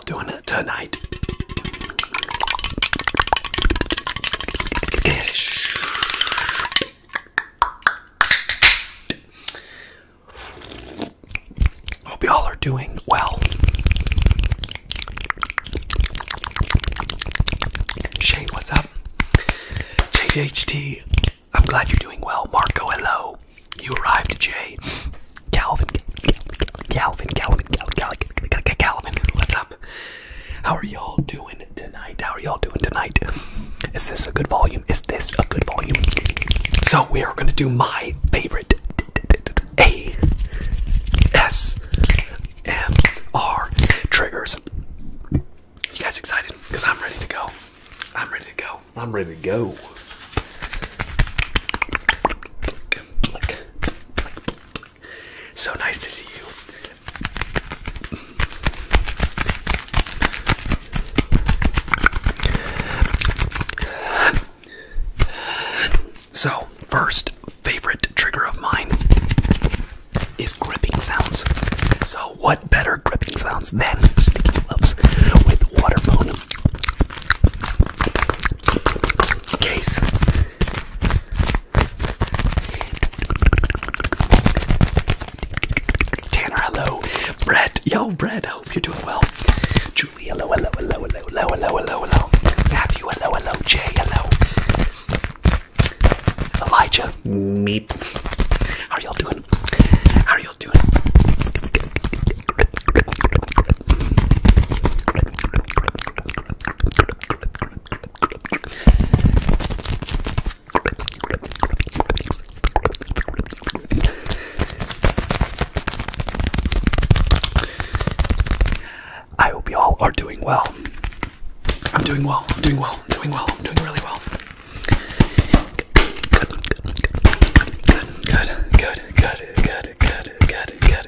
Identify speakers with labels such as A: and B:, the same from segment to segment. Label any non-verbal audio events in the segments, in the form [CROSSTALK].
A: y'all doing it tonight? I Hope y'all are doing well. Shane, what's up? JHT, I'm glad you're doing well. Marco, hello. You arrived, Jay. Calvin, Calvin, Calvin, Calvin, Calvin, Calvin, what's up? How are y'all doing tonight? How are y'all doing tonight? Is this a good volume? Is this a good volume? So we are gonna do my favorite A S M R triggers. You guys excited? Because I'm ready to go. I'm ready to go. I'm ready to go. Click, click, click, so nice to see you. So, first favorite trigger of mine is gripping sounds. So, what better gripping sounds than sticky gloves with waterphone case? Tanner, hello. Brett, yo, Brett, I hope you're doing well. Julie, hello, hello, hello, hello, hello, hello, hello, hello. Matthew, hello, hello, Jay, hello. Elijah, meep. How are y'all doing? How are y'all doing? I hope y'all are doing well. I'm doing well. I'm doing well. I'm doing well. I'm doing really well. Good, good, good, good, good, good, good, good,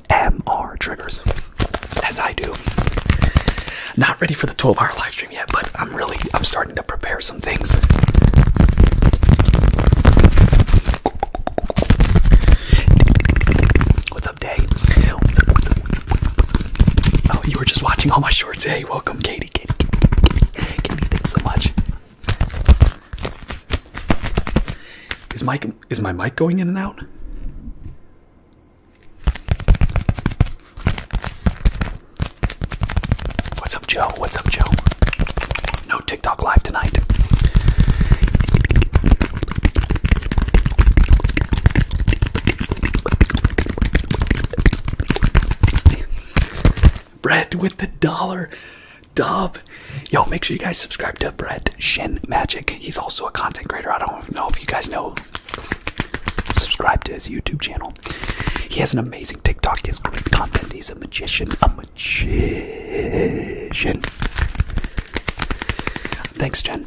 A: Mr. triggers, as I do. Not ready for the 12-hour live stream yet, but I'm really I'm starting to prepare some things. What's up, Day? What's up, what's up, Oh, you were just watching all my shorts. Hey, welcome, Katie. Katie, Katie, Katie, so much. Is mic is my mic going in and out? What's up, Joe? What's up, Joe? No TikTok live tonight. Bread with the dollar dub. Yo, make sure you guys subscribe to Bread. Shen Magic. He's also a content creator. I don't know if you guys know. Subscribe to his YouTube channel. He has an amazing TikTok. He's great content. He's a magician. A magician. Thanks, Shen.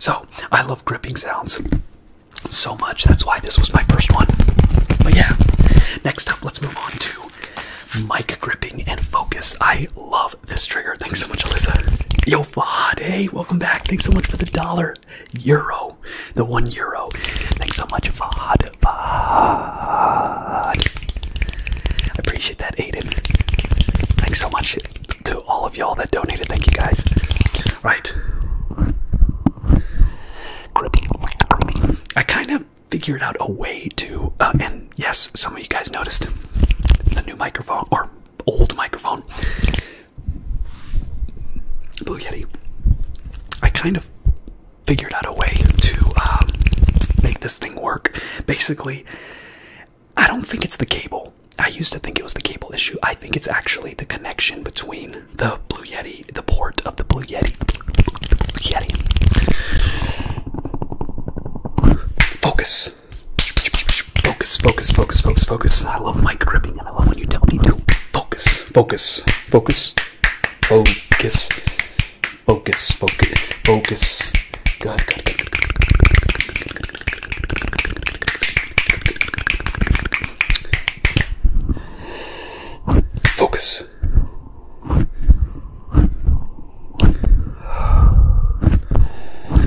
A: So, I love gripping sounds so much. That's why this was my first one. But yeah, next up, let's move on to mic gripping and focus. I love this trigger. Thanks so much, Alyssa. Yo, Fad. Hey, welcome back. Thanks so much for the dollar. Euro. The one euro. Thanks so much, Fad. Fahad. I appreciate that, Aiden. Thanks so much to all of y'all that donated. Thank you, guys. Right. Gripping. I kind of figured out a way to uh, end yes, some of you guys noticed the new microphone or old microphone. Blue Yeti. I kind of figured out a way to um, make this thing work. Basically, I don't think it's the cable. I used to think it was the cable issue. I think it's actually the connection between the Blue Yeti, the port of the Blue Yeti, Yeti. Focus focus. Focus, focus, focus, focus, focus. I love mic gripping and I love when you tell me to focus, focus, focus, focus, focus, focus, focus. Good, good, good, good, good, good, good, good, good, good. Focus.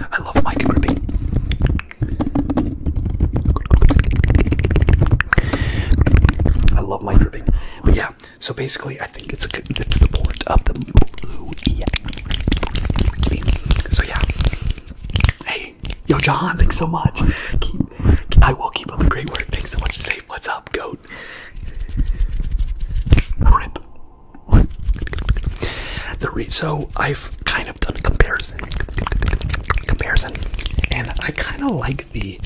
A: I love mic gripping. I love mic gripping. But yeah, so basically, I think it's a good, it's the port of the. So yeah. Hey, yo, John, thanks so much. I will keep up the great work. Thanks so much, Safe. What's up, goat? Rip the so I've kind of done a comparison, comparison, and I kind of like the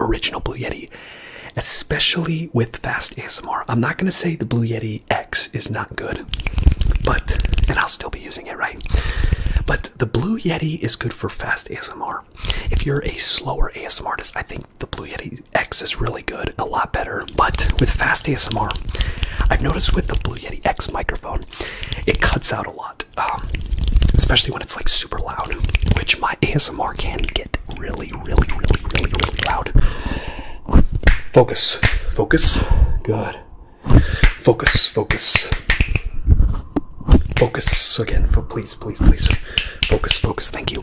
A: original Blue Yeti, especially with fast ASMR. I'm not gonna say the Blue Yeti X is not good, but and I'll still be using it, right? But the Blue Yeti is good for fast ASMR. If you're a slower ASMR artist, I think the Blue Yeti X is really good, a lot better. But with Fast ASMR, I've noticed with the Blue Yeti X microphone, it cuts out a lot, um, especially when it's like super loud, which my ASMR can get really, really, really, really, really loud. Focus, focus, good. Focus, focus, focus again. For please, please, please, focus, focus. Thank you.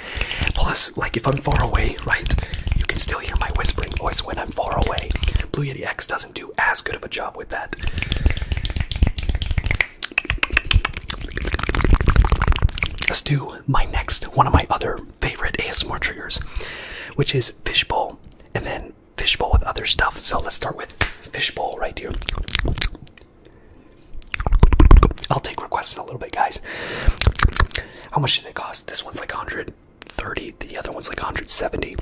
A: Plus, like if I'm far away, right, you can still hear my whispering voice when I'm far away. Blue Yeti X doesn't do as good of a job with that. Let's do my next, one of my other favorite ASMR triggers, which is fishbowl and then fishbowl with other stuff. So let's start with fishbowl right here. I'll take requests in a little bit, guys. How much did it cost? This one's like 130, the other one's like 170.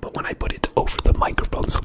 A: But when I put it over the microphone, something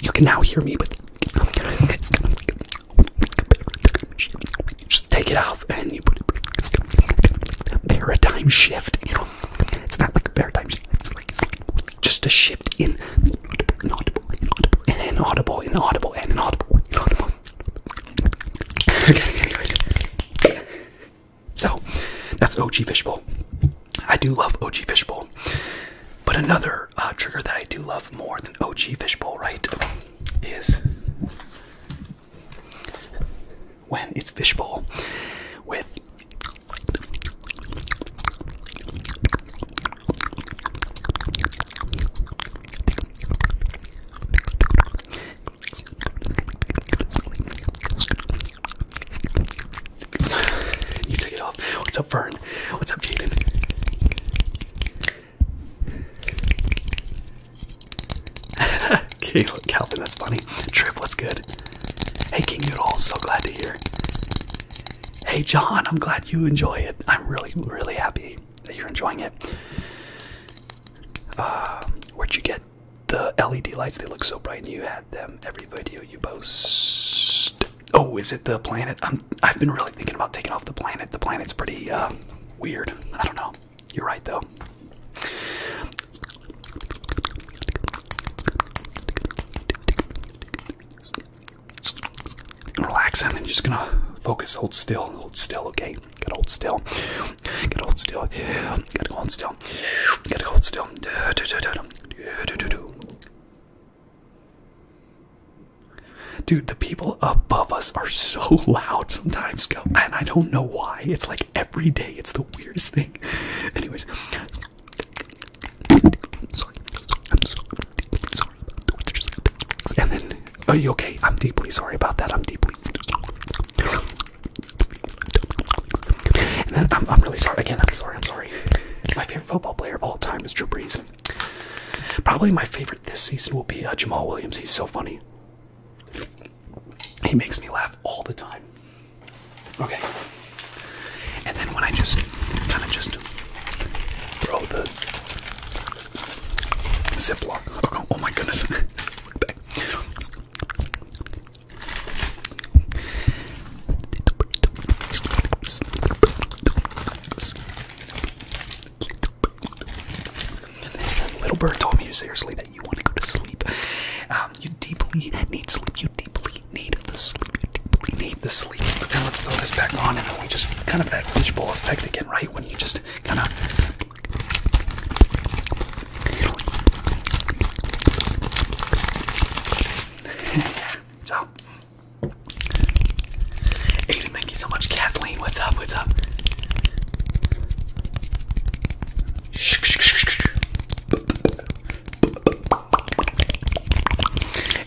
A: You can now hear me, but just take it off and you put it paradigm shift. You know, it's not like a paradigm shift. It's like, it's like just a shift in inaudible, inaudible, and inaudible, inaudible, and inaudible, inaudible, [LAUGHS] So, that's OG Fishbowl. I do love OG Fishbowl. But another uh, trigger that I do love more than OG Fishbowl, right, is when it's Fishbowl with you took it off. What's up, Fern? What's up, Jaden? okay, [LAUGHS] look, Calvin, that's funny. Trip, what's good? Hey, King Noodle, so glad to hear. Hey, John, I'm glad you enjoy it. I'm really, really happy that you're enjoying it. Uh, where'd you get the LED lights? They look so bright, and you had them every video you post. Oh, is it the planet? i have been really thinking about taking off the planet. The planet's pretty uh, weird. I don't know. You're right, though. Relax, and then just gonna focus. Hold still. Hold still. Okay. Get to hold still. Get to hold still. Get to hold still. Gotta still. Dude, the people above us are so loud sometimes, go, and I don't know why. It's like every day. It's the weirdest thing. Anyways, sorry, I'm so sorry. And then, are you okay? I'm deeply sorry about that. I'm deeply. I'm, really sorry again. I'm sorry. I'm sorry. My favorite football player of all time is Drew Brees. Probably my favorite this season will be uh, Jamal Williams. He's so funny. He makes me laugh all the time. Okay. And then when I just kind of just throw this Ziploc. Oh, oh my goodness. [LAUGHS] Little bird told me "You seriously that you want to go to sleep. Um, you deeply need sleep. You deeply need the sleep. You deeply need the sleep. Now let's throw this back on, and then we just kind of that fishbowl effect again, right? When you just kind of [LAUGHS] so, Aiden, thank you so much. Kathleen, what's up? What's up?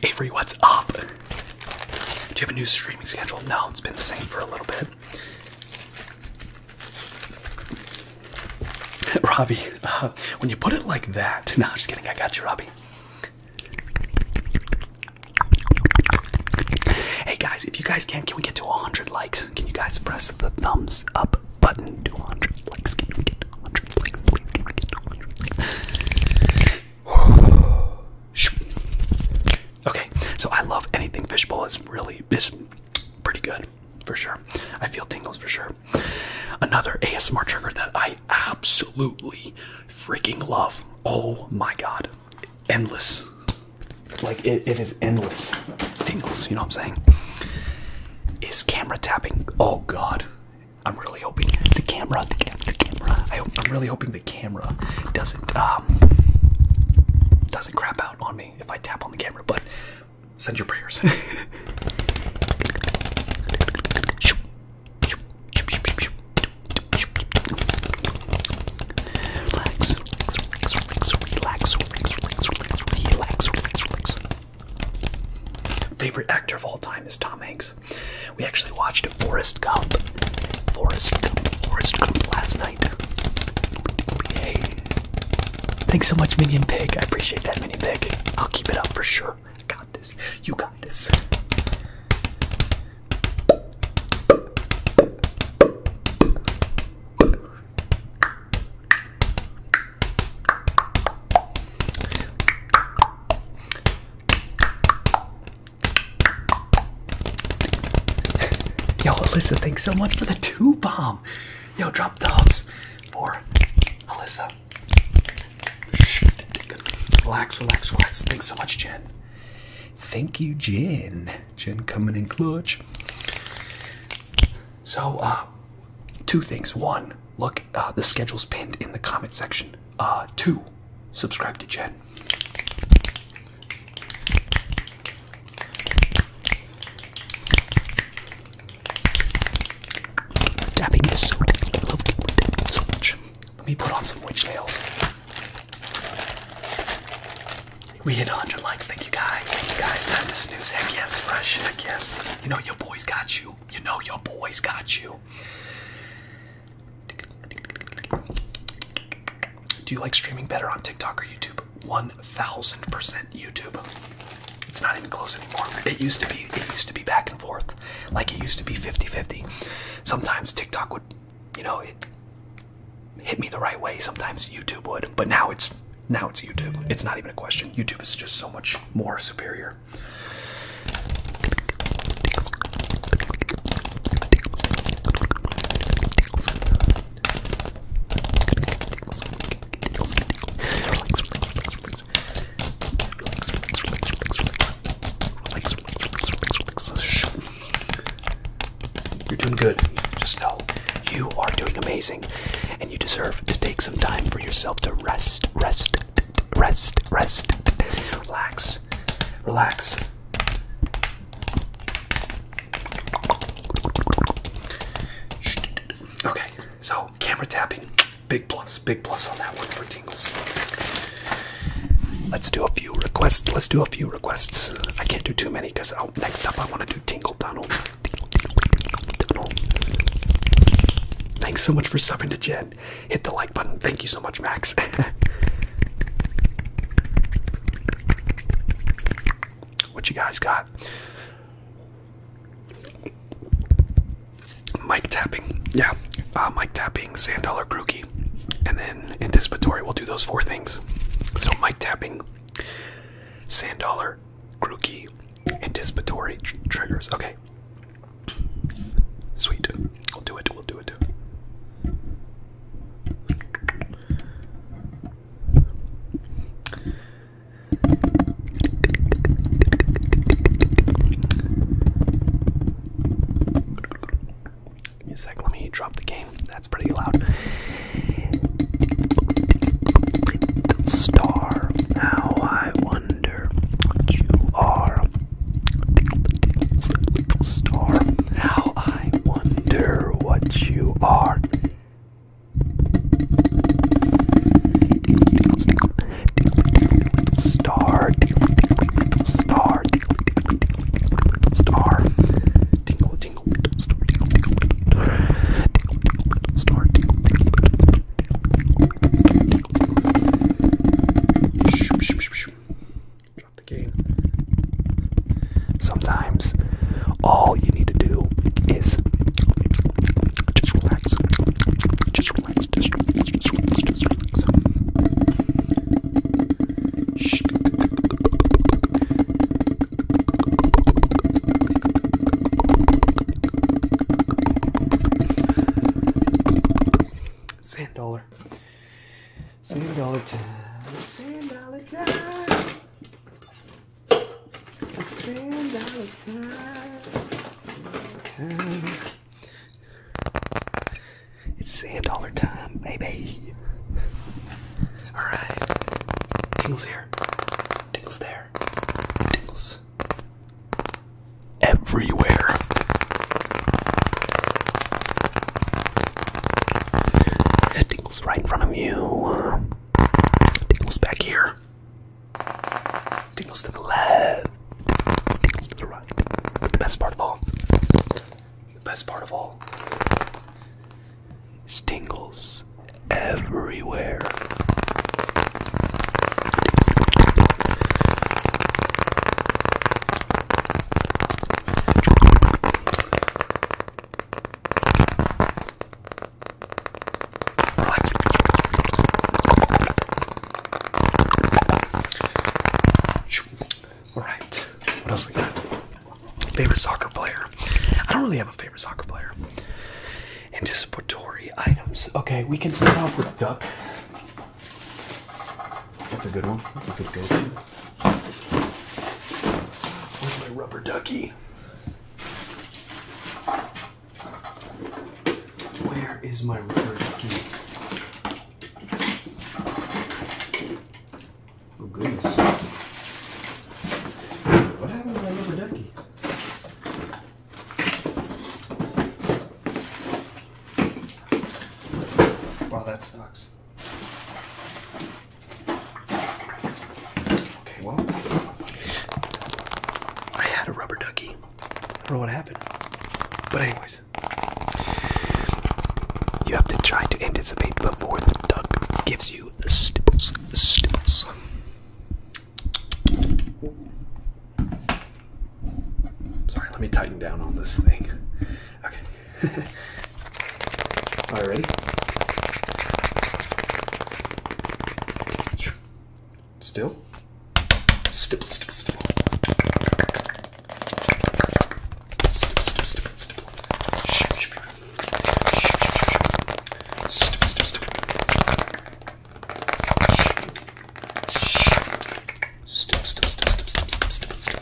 A: Avery, what's up? Do you have a new streaming schedule? No, it's been the same for a little bit. [LAUGHS] Robbie, uh, when you put it like that, [LAUGHS] no, I'm just kidding, I got you, Robbie. Hey guys, if you guys can, can we get to 100 likes? Can you guys press the thumbs up button Two hundred likes? Can likes, please? likes? [SIGHS] okay, so I love anything fishbowl. is really, is pretty good for sure. I feel tingles for sure. Another ASMR trigger that I absolutely freaking love. Oh my god. Endless. Like it is endless. Tingles, you know what I'm saying? Is camera tapping. Oh god. I'm really hoping the camera, the, cam the camera. I am really hoping the camera doesn't um doesn't crap out on me if I tap on the camera, but send your prayers. [LAUGHS] Relax, relax, relax, relax, relax, relax, relax, Favorite actor of all time is Tom Hanks. We actually watched Forrest Gump, Forrest Forrest Gump last night. Thanks so much, Minion Pig. I appreciate that, Minion Pig. I'll keep it up for sure. I got this. You got this. Yo, Alyssa, thanks so much for the two bomb. Yo, drop dubs for Alyssa. Relax, relax, relax. Thanks so much, Jen. Thank you, Jen. Jen coming in clutch. So, uh, two things. One, look, uh, the schedule's pinned in the comment section. Uh, two, subscribe to Jen. Tapping is so so much. Let me put on some witch nails. We hit 100 likes. Thank you guys. Thank guys. Time to snooze. Heck yes, fresh. Heck yes. You know your boys got you. You know your boys got you. Do you like streaming better on TikTok or YouTube? 1000% YouTube. It's not even close anymore. It used to be it used to be back and forth. Like it used to be 50-50. Sometimes TikTok would, you know, hit me the right way. Sometimes YouTube would. But now it's now it's YouTube. It's not even a question. YouTube is just so much more superior. You're doing good. Just know you are doing amazing, and you deserve to take some time for yourself to rest, rest, rest, rest, relax, relax. Okay, so camera tapping, big plus, big plus on that one for tingles. Let's do a few requests. Let's do a few requests. I can't do too many because oh, next up I want to do Tingle Donald. Thanks so much for subbing to Jen. Hit the like button. Thank you so much, Max. [LAUGHS] what you guys got? Mic tapping, yeah, uh, mic tapping, sand dollar grookey, and then anticipatory. We'll do those four things. So mic tapping, sand dollar, grookey, anticipatory triggers. Okay, sweet. We'll do it. We'll do it. Give me a sec, let me drop the game. That's pretty loud. Star, how I wonder what you are. Star, how I wonder what you are. Star, tickle, little star, tickle, tickle, little star, tingle, tingle, little star, tickle, tickle, little star, tickle, tickle, little star, tickle, tickle, little star, tickle, tickle, Drop the game. Sometimes all you need to do is just relax. Just relax. Just relax. Just relax. Just relax. Shh. Sand dollar. Sand dollar time. Sand dollar time. It's sand send out time. It's sand dollar time, baby. Alright. Tingles here. Tingles there. Tingles everywhere. That tingles right in front of you. Tingles back here. Tingles to the left. Tingles to the right. But the best part of all. The best part of all. Is tingles everywhere. Relax. Alright, what else we got? Favorite soccer player. I don't really have a favorite soccer player. Anticipatory items. Okay, we can start off with duck. That's a good one. That's a good go. Where's my rubber ducky? Where is my rubber ducky? Oh goodness. What happened to my rubber ducky? Wow, that sucks. Okay, well, I had a rubber ducky. I don't know what happened. But, anyways, you have to try to anticipate before the duck gives you the stipples. stipples. Sorry, let me tighten down on this thing. Okay. [LAUGHS] All right, Still? Still, still, still. Still, still, still, still. Ship, ship, Still, still, still. Still, still, still, still, still, still, still, still.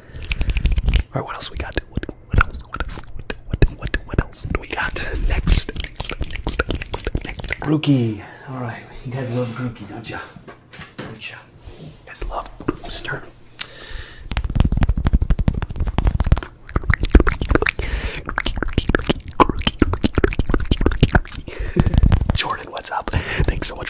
A: Alright, what else we got? What, what else? What else? What, what, what, else do we got? Next, next, next, next, next. Grookey. Alright, you guys love Grookey, don't ya? Don't ya? You guys love Booster. Jordan, what's up? [LAUGHS] Thanks so much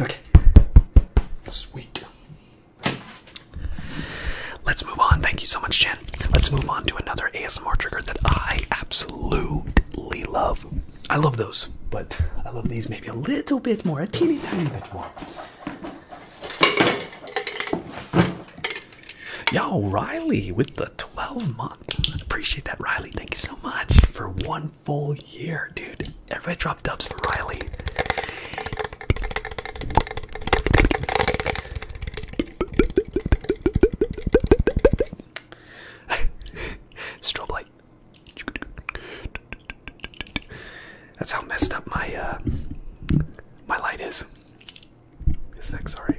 A: Okay. Sweet. Let's move on. Thank you so much, Jen. Let's move on to another ASMR trigger that I absolutely love. I love those, but I love these maybe a little bit more, a teeny tiny bit more. Yo, Riley with the 12 month. Appreciate that, Riley. Thank you so much for one full year, dude. Everybody drop dubs for Riley. [LAUGHS] Strobe That's how messed up my uh, my light is. Is sorry.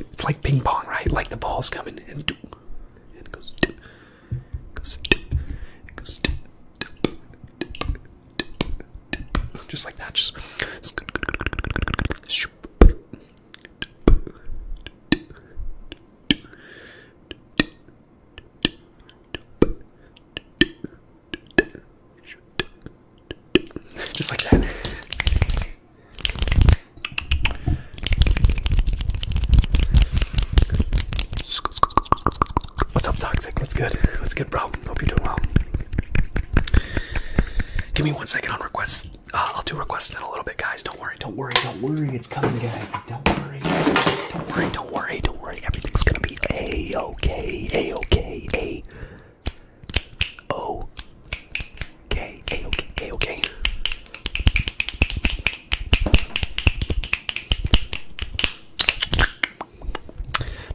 A: It's like ping pong, right? Like the ball's coming and do and it goes do goes do it goes do just like that, just just like that. What's up, Toxic? What's good? What's good, bro? Hope you're doing well. Give me one second on requests. Uh, I'll do requests in a little bit, guys. Don't worry, don't worry, don't worry. It's coming, guys. Don't worry. Don't worry. Don't worry. Don't worry. Everything's gonna be a okay. A okay. A o okay. A okay. A okay.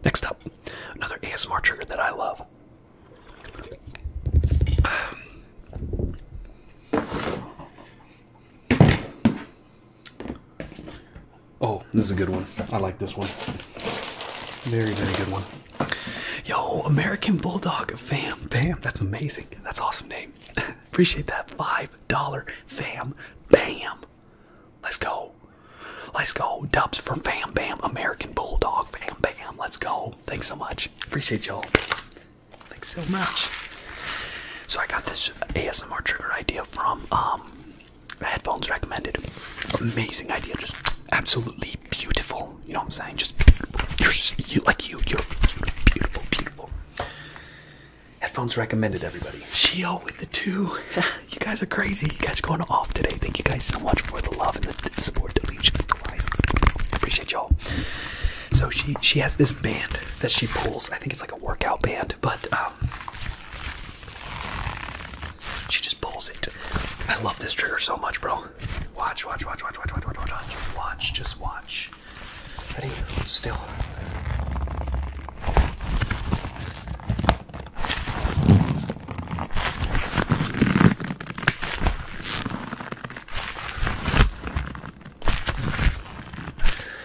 A: Next up, another ASMR trigger that I love. Oh, this is a good one. I like this one. Very, very good one. Yo, American Bulldog Fam. Bam. That's amazing. That's awesome name. [LAUGHS] Appreciate that. $5 Fam. Bam. Let's go. Let's go. Dubs for Fam Bam. American Bulldog Fam Bam. Let's go. Thanks so much. Appreciate y'all. Thanks so much. So I got this ASMR trigger idea from um headphones recommended. Amazing idea, just absolutely beautiful. You know what I'm saying? Just you're just, you like you, you're beautiful, beautiful, beautiful. Headphones recommended, everybody. Shio with the two. [LAUGHS] you guys are crazy. You guys are going off today. Thank you guys so much for the love and the support. Deletion, guys. Appreciate y'all. So she she has this band that she pulls. I think it's like a workout band but um, she just pulls it. I love this trigger so much, bro. Watch, watch, watch, watch, watch, watch, watch, watch, watch. Just watch. Ready? Still.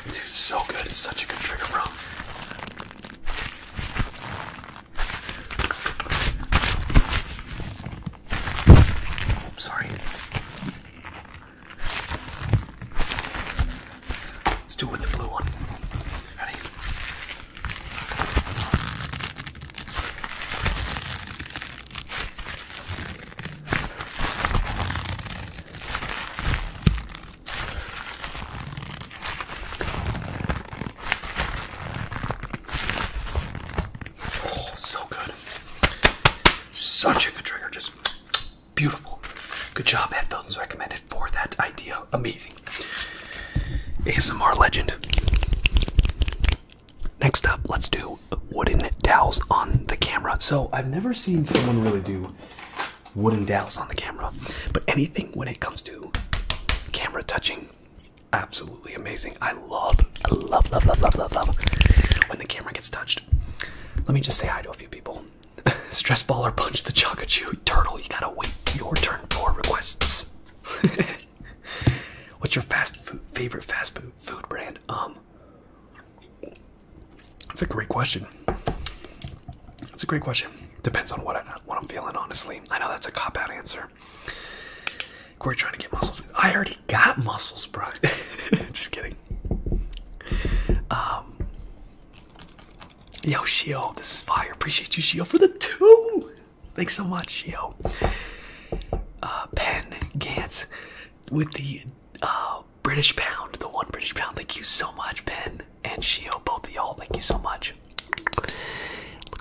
A: Dude, so good. It's such a good trigger, bro. Sorry. Let's do it with the blue one. Ready? Oh, so good. Such a good trigger. Just beautiful. Good job, Headphones recommended for that idea. Amazing. ASMR legend. Next up, let's do wooden dowels on the camera. So I've never seen someone really do wooden dowels on the camera. But anything when it comes to camera touching, absolutely amazing. I love, I love, love, love, love, love, love when the camera gets touched. Let me just say hi to a few people. [LAUGHS] Stress ball or punch the chocochu turtle. You gotta wait your turn for requests. [LAUGHS] What's your fast food favorite fast food food brand? Um that's a great question. That's a great question. Depends on what I what I'm feeling, honestly. I know that's a cop out answer. Corey trying to get muscles. I already got muscles, bro. [LAUGHS] Just kidding. Um, yo, Shield, this is fire. Appreciate you, Shield, for the two. Thanks so much, yo. Uh, Pen Gantz with the uh, British pound, the one British pound. Thank you so much, Pen. Jen and Shio, both of y'all. Thank you so much. Look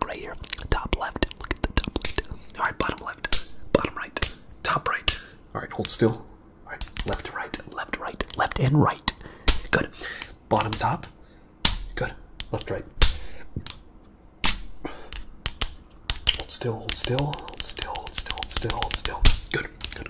A: right here, top left. Look at the top left. All right, bottom left, bottom right, top right. All right, hold still. All right, left, right, left, right, left, and right. Good. Bottom, top. Good. Left, right. Hold still, hold still, hold still, hold still, hold still, hold still. Good, good.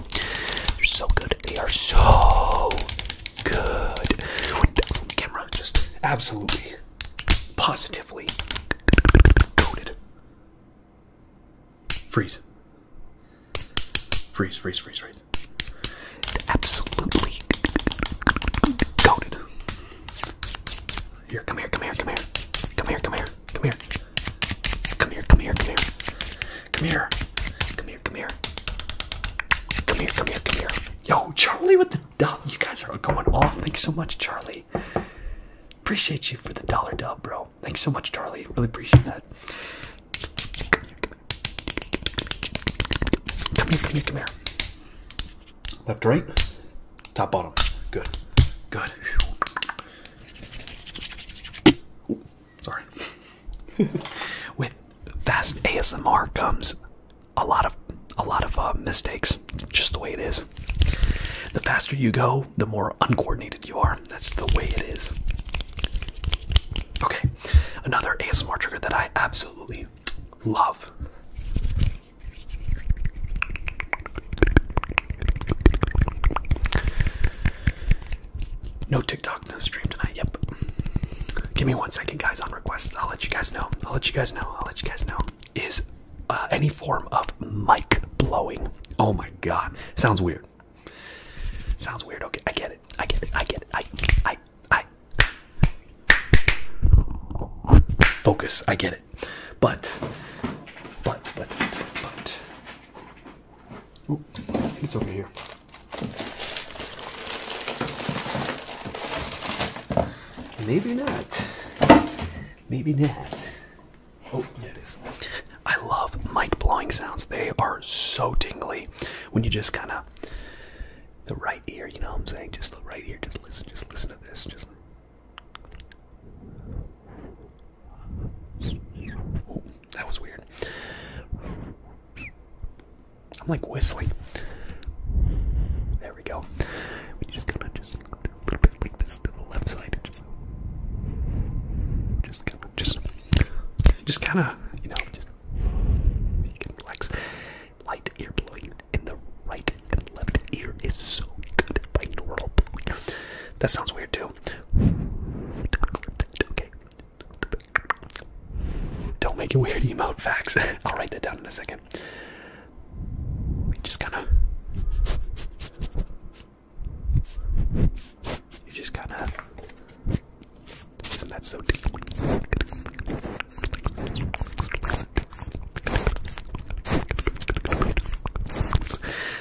A: They're so good. They are so good. camera, just absolutely, positively coated. Freeze. Freeze, freeze, freeze, freeze. Absolutely coated. Here, come here, come here, come here. Come here, come here, come here. Come here, come here, come here. Come here. Come here, come here. Come here, come here, come here. Yo, Charlie with the dub. You guys are going off. Thanks so much, Charlie. Appreciate you for the dollar dub, bro. Thanks so much, Charlie. Really appreciate that. Come here, come here, come here. Left, right, top, bottom. Good, good. Sorry. [LAUGHS] With fast ASMR comes a lot of a lot of uh, mistakes. Just the way it is. The faster you go, the more uncoordinated you are. That's the way it is. Okay, another ASMR trigger that I absolutely love. No TikTok in the stream tonight. Yep. Give me one second, guys. On requests, I'll let you guys know. I'll let you guys know. I'll let you guys know. Is uh, any form of mic blowing? Oh my god, sounds weird. Sounds weird. Okay, I get it. I get it. I get it. I I I. Focus. I get it. But but but but. but it's over here. Maybe not. Maybe not. Oh, there it is. I love mic blowing sounds. They are so tingly when you just kind of the right ear. You know what I'm saying? Just the right ear. Just listen. Just listen to this. Just. That was weird. I'm like whistling. There we go. We just gonna just a little bit like this to the left side. Just, just kind of, just, just kind of, you know, just relax. Light ear blowing in the right and left ear is so good. Binaural blowing. That sounds weird too. Okay, don't make it weird, emote facts. [LAUGHS] I'll write that down in a second. Just kind of. You just kind of. Isn't that so deep?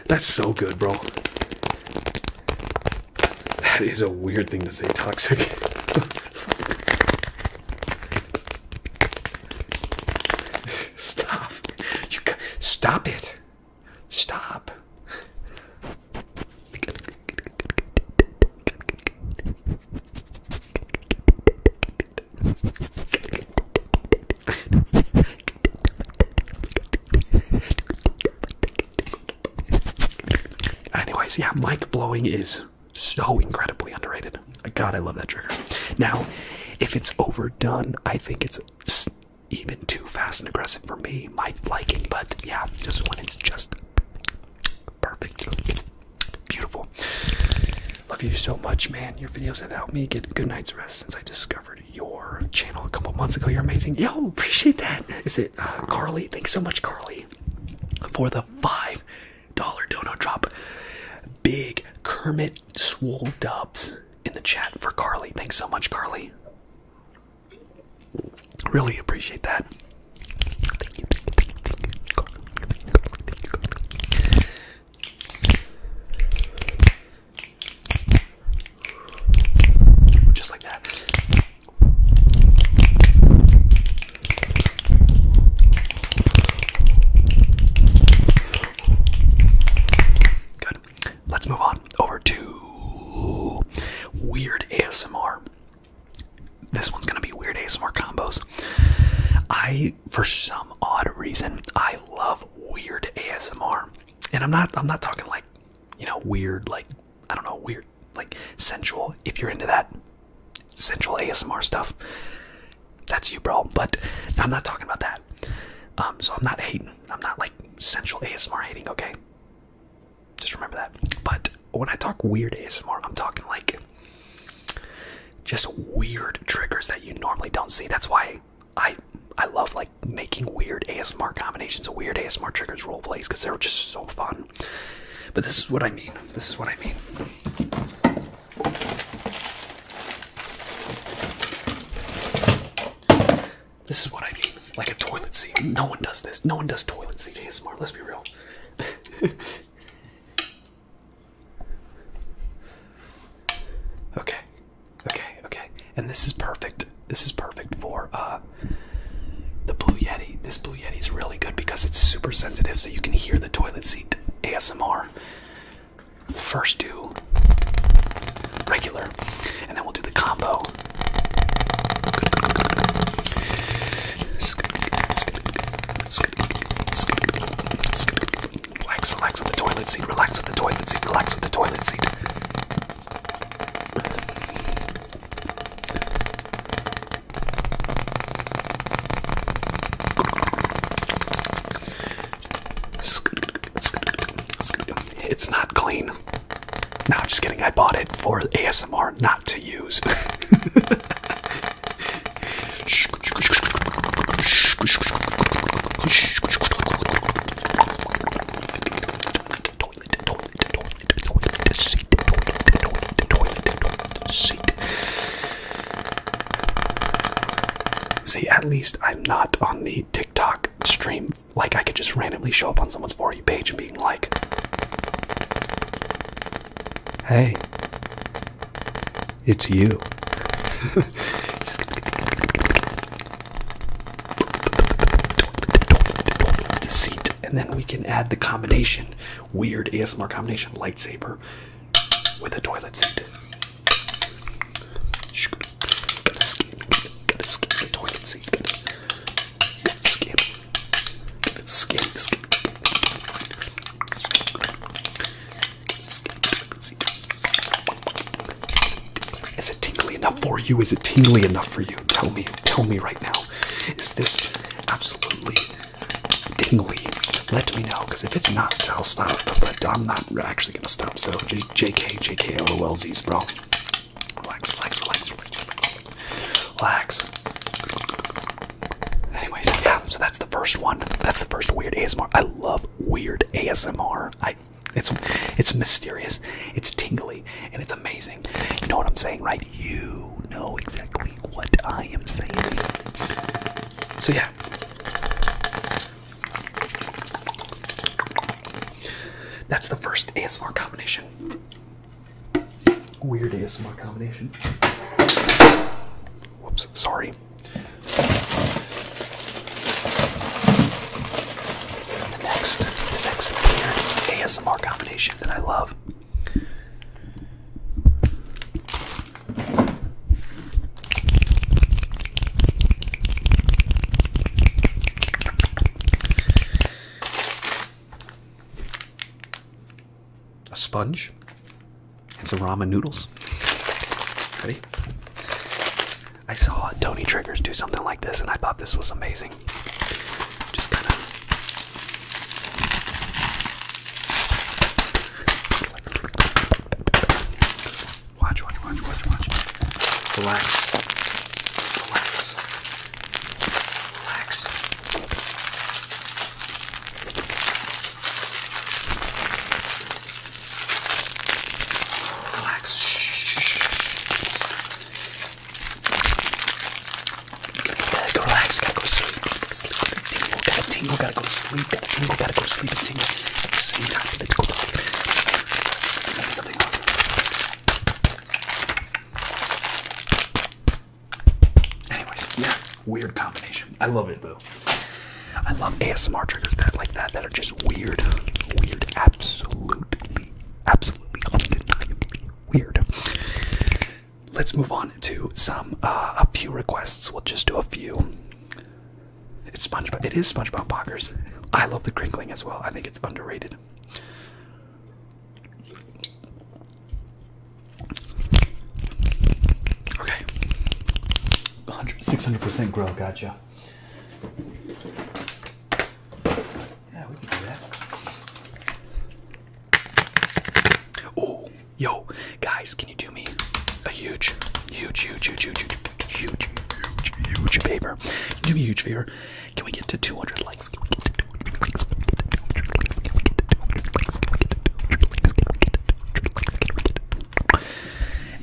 A: That's so good, bro. That is a weird thing to say, toxic. Stop. You stop it. Stop. Anyways, yeah, mic blowing is so incredibly underrated. God, I love that trigger. Now, if it's overdone, I think it's even too fast and aggressive for me, my liking. But yeah, just when it's just perfect, beautiful. Love you so much, man. Your videos have helped me get good night's rest since I discovered your channel a couple months ago. You're amazing. Yo, appreciate that. Is it? Uh, Carly, thanks so much, Carly, for the $5 donut drop. Big Kermit Swole Dubs in the chat for Carly. Thanks so much, Carly. Really appreciate that. Just like that. Good. Let's move on over to weird ASMR. This one's gonna be weird ASMR combos. I, for some odd reason, I love weird ASMR, and I'm not. I'm not talking like you know, weird, like, I don't know, weird, like sensual, if you're into that sensual ASMR stuff, that's you, bro. But I'm not talking about that. Um, so I'm not hating. I'm not like sensual ASMR hating, okay? Just remember that. But when I talk weird ASMR, I'm talking like just weird triggers that you normally don't see. That's why I I love making weird ASMR combinations of weird ASMR triggers role plays because they're just so fun. But this is what I mean. This is what I mean. This is what I mean. Like a toilet seat. No one does this. No one does toilet seat ASMR. Let's be real. [LAUGHS] okay. Okay. Okay and this is perfect. This is perfect for uh, the Blue Yeti. This Blue Yeti is really good because it's super sensitive, so you can hear the toilet seat ASMR. first do regular, and then we'll do the combo. Relax, relax with the toilet seat. Relax with the toilet seat. Relax with the toilet seat. It's not clean. No, just kidding. I bought it for ASMR, not to use. [LAUGHS] [LAUGHS] See, at least I'm not on the TikTok stream. Like, I could just randomly show up on someone's 4 page and being like, hey, it's you. [LAUGHS] deceit, and then we can add the combination, weird ASMR combination, lightsaber with a toilet seat. Gotta skim, gotta skim the toilet seat. Gotta, gotta skim, gotta skim, Is it tingly enough for you? Is it tingly enough for you? Tell me. Tell me right now, is this absolutely tingly? Let me know, because if it's not, I'll stop. But I'm not actually gonna stop. So J JK, JK, LOLZs, bro. Relax, relax, relax, relax, relax. Anyways, yeah. So that's the first one. That's the first weird ASMR. I love weird ASMR. I. It's it's mysterious, it's tingly, and it's amazing. You know what I'm saying, right? you know exactly what I am saying. So, yeah. That's the first ASMR combination. Weird ASMR combination. Whoops, sorry. The next, the next weird ASMR combination that I love. A sponge It's some ramen noodles. Ready? I saw Tony Triggers do something like this, and I thought this was amazing. Just kind of watch, watch, watch, watch, watch. Relax, relax, relax. Relax. Shh, shh, shh. Gotta go relax, gotta go sleep, sleep, tingle, gotta tingle, gotta go sleep, gotta tingle, gotta go sleep, and tingle at Let's go to sleep. Anyways, yeah, weird combination. I love it though. I love ASMR triggers that like that that are just weird, weird, absolutely, absolutely undeniably weird. Let's move on to some uh, a few requests. We'll just do a few. It's SpongeBob. It is SpongeBob Pockers. I love the crinkling as well. I think it's underrated. Okay. 600% grow, gotcha. Yeah, we can do that. Oh, yo, guys, can you do me a huge, huge, huge, huge, huge, huge, huge, huge, huge favor? Do me a huge favor. Can we get to 200 likes? Can we get to 200 likes? Can we get to 200 likes? Can we get to 200 likes? Can we get to 200 likes? Can we get to 200 likes? Can we get to 200 likes?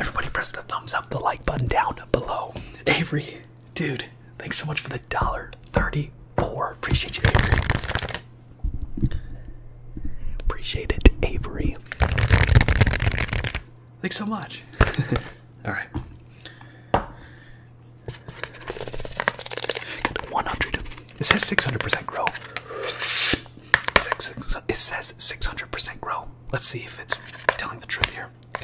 A: Everybody press the thumbs up, the like button down below. Avery Dude, thanks so much for the dollar thirty-four. Appreciate you, Avery. Appreciate it, Avery. Thanks so much. [LAUGHS] All right. 100. It says 600% grow. It says 600% grow. Let's see if it's telling the truth here. We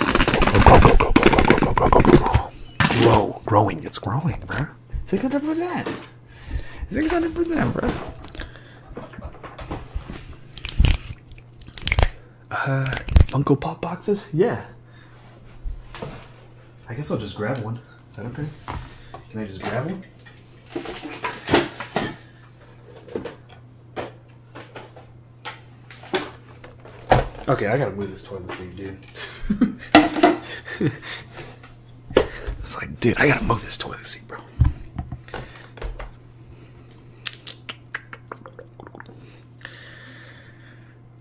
A: Grow, growing, it's growing, bro. 600%. 600%, bro. Uh, Funko Pop boxes? Yeah. I guess I'll just grab one. Is that okay? Can I just grab one? Okay, I gotta move this toilet seat, dude. it's like, dude, I gotta move this toilet seat, bro.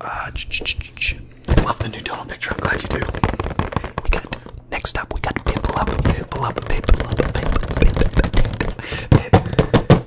A: Uh, ch Love the new Donald picture. I'm glad you do. next up, we got pimple up, pimple up, pimple up, pimple up, pimple, pimple, pimple,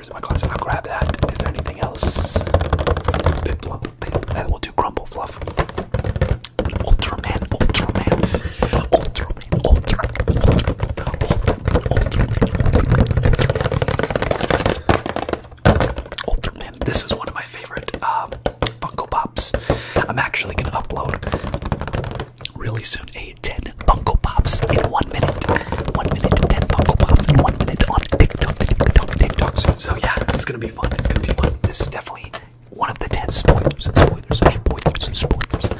A: Is my closet. I'll grab that. Is there anything else? Then we'll do crumble fluff. Ultraman, Ultraman, Ultraman, Ultraman, Ultraman. This is one of my favorite um, Funko Pops. I'm actually gonna upload really soon a 10 Funko Pops in one minute. One minute 10 Funko Pops in one minute on TikTok, TikTok, TikTok. So, so yeah, it's gonna be fun. It's gonna be fun. This is definitely one of the 10 spoilers, spoilers, spoilers, spoilers.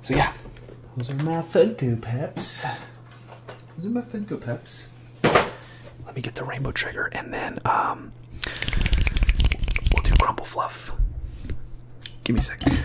A: So yeah, those are my Funko Pops. Those are my Funko Pops. Let me get the rainbow trigger and then um, we'll do crumble fluff. Give me a second.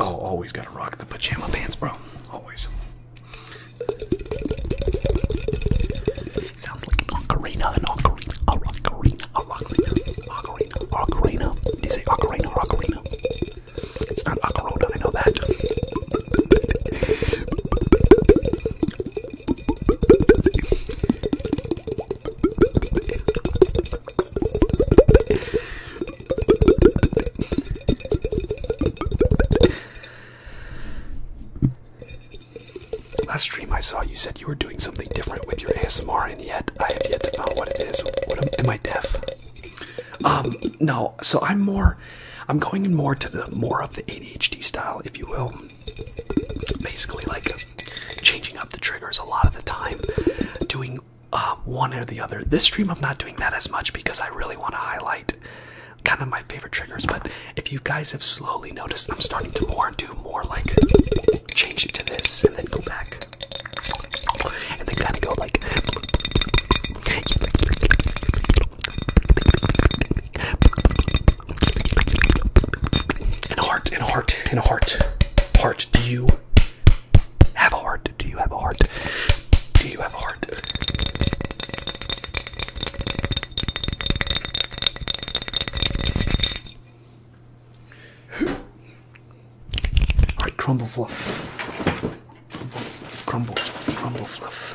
A: Oh, always gotta rock the pajama pants, bro. Always. Sounds like an ocarina, an ocarina, a ocarina, a ocarina, ocarina, ocarina. Did you say ocarina, ocarina? It's not ocarona, I know that. Last stream I saw, you said you were doing something different with your ASMR, and yet I have yet to find what it is. am, am I deaf? Um, no. So I'm more. I'm going in more to the more of the ADHD style, if you will. Basically, like changing up the triggers a lot of the time, doing uh, one or the other. This stream, I'm not doing that as much because I really want to highlight kind of my favorite triggers. But if you guys have slowly noticed, I'm starting to more do more like change it to this and then go back and then kind of go like a heart, and a heart, and a heart. Heart, do you have a heart? Do you have a heart? Do you have a heart? Alright, Crumble fluff, crumble fluff, crumble fluff.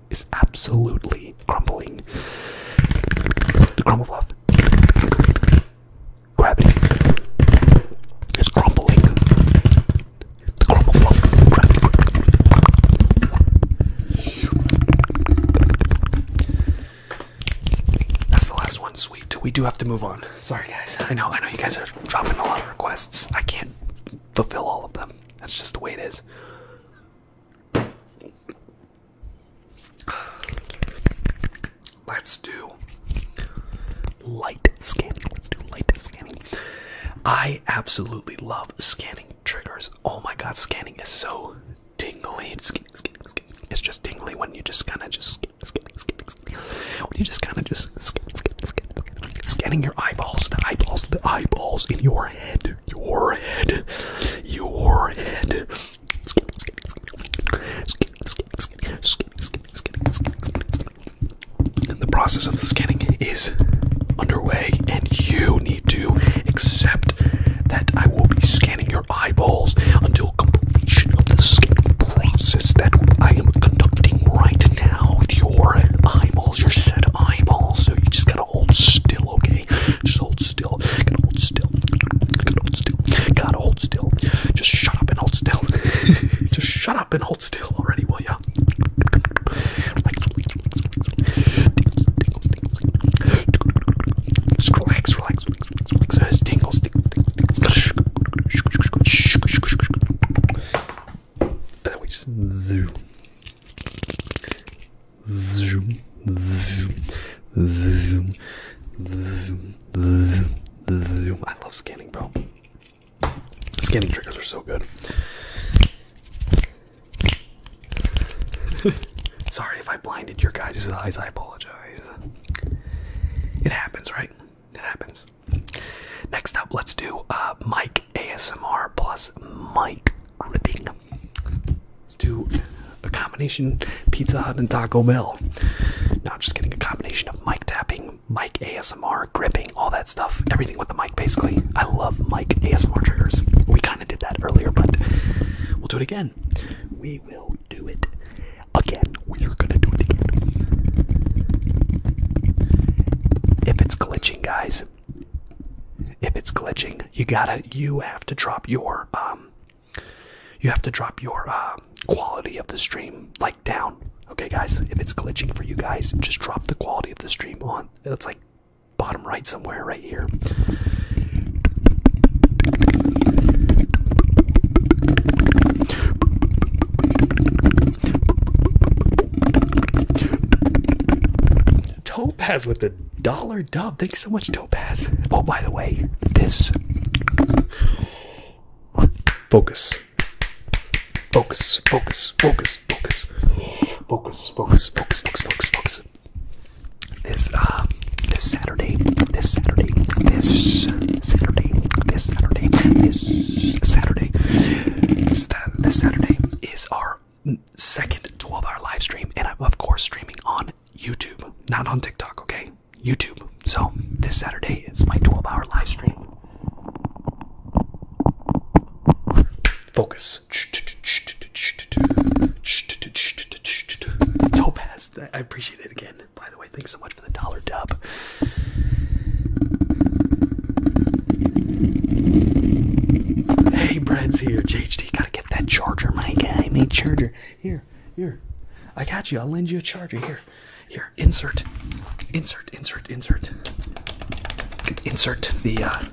A: is absolutely crumbling. The crumble fluff. Gravity is crumbling. The crumble fluff. Gravity. That's the last one. Sweet. We do have to move on. Sorry, guys. I know. I know you guys are dropping a lot of requests. I can't fulfill all of them. That's just the way it is. Let's do light scanning. Let's do light scanning. I absolutely love scanning triggers. Oh my god, scanning is so tingly. It's, just tingly when you just kind of just scanning, scanning, scanning, scanning. When you just kind of just scanning your eyeballs, the eyeballs, the eyeballs in your head, your head, your head. The process of the scanning is underway, and you need to accept that I will be scanning your eyeballs until completion of the scanning process that I am conducting right now. with Your eyeballs eyeballs. Your set eyeballs. So you just gotta hold still, okay? Just hold still. Gotta hold still. Gotta hold still. Gotta hold still. Just shut up and hold still. [LAUGHS] just shut up and hold still already, will ya? Just relax, relax, tingles, tingles. Ah I love scanning, bro. Scanning triggers are so good. [LAUGHS] Sorry if I blinded your guys' eyes, I apologize. It happens, right? It happens. Next up, let's do uh, Mike ASMR plus Mike i Let's do a combination Pizza Hut and Taco Bell. No, just getting a combination of mic tapping, mic ASMR, gripping, all that stuff. Everything with the mic, basically. I love mic ASMR triggers. We kind of did that earlier, but we'll do it again. We will do it again. We are gonna do it again. If it's glitching, guys, if it's glitching, you gotta you have to drop your um, you have to drop your uh, quality of the stream like down. Okay guys, if it's glitching for you guys, just drop the quality of the stream on. It's like bottom right somewhere right here. Topaz with the dollar dub. Thanks so much, Topaz. Oh, by the way, this. Focus. Focus, focus, focus, focus. Focus, focus, focus, focus, focus, focus. This, uh, this Saturday, this Saturday, this Saturday, this Saturday, this Saturday, this Saturday is our second 12 hour live stream, and I'm, of course, streaming on YouTube, not on TikTok, okay? YouTube. So, this Saturday is my 12 hour live stream. Focus. Topaz. I appreciate it again. By the way, thanks so much for the dollar dub. Hey, Brad's here. JHD, gotta get that charger, my guy. I made charger. Here, here. I got you. I'll lend you a charger. Here, here. Insert, insert, insert, insert. Insert the uh,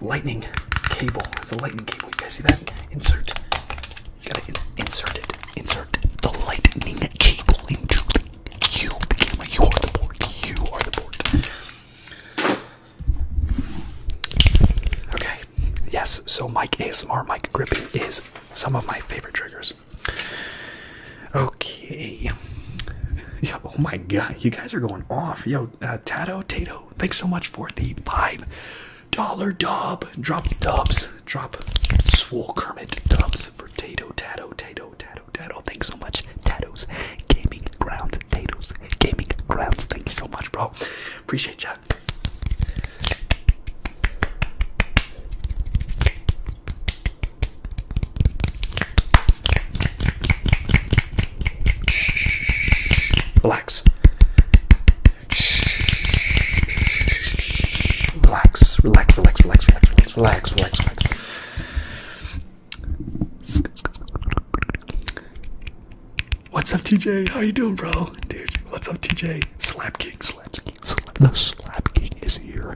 A: lightning cable. It's a lightning cable. You guys see that? Insert. gotta insert it. Insert the lightning cable into the. You became You are the board. You are the board. Okay. Yes, so Mike ASMR, Mike gripping is some of my favorite triggers. Okay. oh my god, you guys are going off. Yo, uh, Tato, Tato, thanks so much for the vibe. Dollar dub. Drop dubs. Drop swole Kermit dubs for Tato, Tato, Tato, Tato, Tato. Thanks so much, Tato's Gaming Grounds, Tato's Gaming Grounds. Thank you so much, bro. Appreciate ya. relax, relax, relax, relax, relax, relax, relax. What's up, TJ? How you doing, bro? Dude, what's up, TJ? Slap King, Slap King, Slap, the Slap King is here.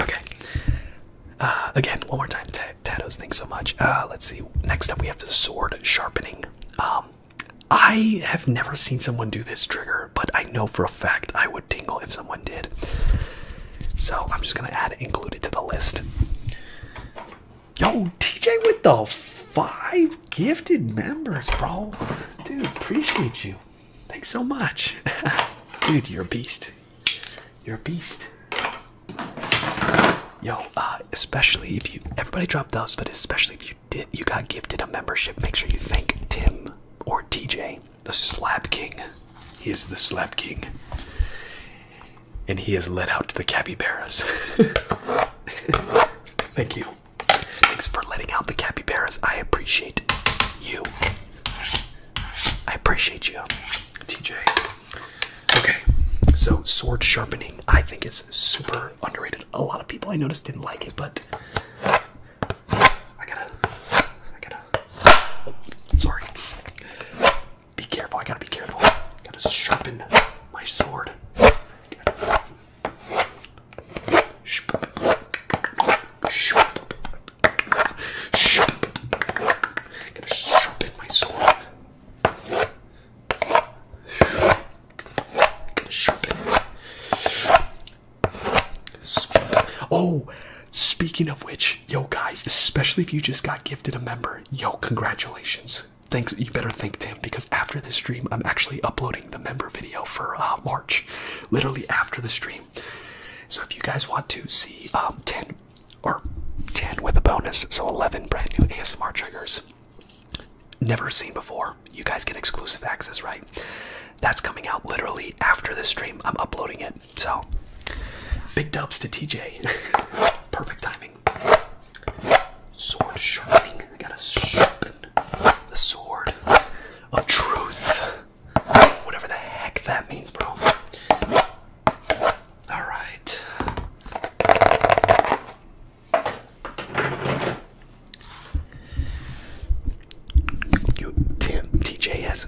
A: Okay. Uh, again, one more time, Tattoos, thanks so much. Uh, let's see. Next up, we have the sword sharpening. Um, I have never seen someone do this trigger, but I know for a fact I would tingle if someone did. So I'm just gonna add include it to the list. Yo, TJ with the five gifted members, bro. Dude, appreciate you. Thanks so much. [LAUGHS] Dude, you're a beast. You're a beast. Yo, uh, especially if you everybody dropped those, but especially if you did you got gifted a membership, make sure you thank Tim or TJ, the slab king. He is the slab king and he is let out to the capybaras. [LAUGHS] Thank you. Thanks for letting out the capybaras. I appreciate you. I appreciate you, TJ. Okay, so sword sharpening I think is super underrated. A lot of people I noticed didn't like it, but I gotta, I gotta. Sorry, be careful, I gotta be careful. Gotta sharpen my sword. sharpen my sword. Oh, Speaking of which, yo guys, especially if you just got gifted a member, yo, congratulations. Thanks, you better thank Tim because after this stream, I'm actually uploading the member video for uh, March, literally after the stream. So if you guys want to see um, 10 or 10 with a bonus, so 11 brand new ASMR triggers, never seen before, you guys get exclusive access, right? That's coming out literally after this stream. I'm uploading it. So, big dubs to TJ. [LAUGHS] Perfect timing. Sword sharpening. I gotta sharpen the sword of truth. Whatever the heck that means, bro. Alright. Tim, TJ has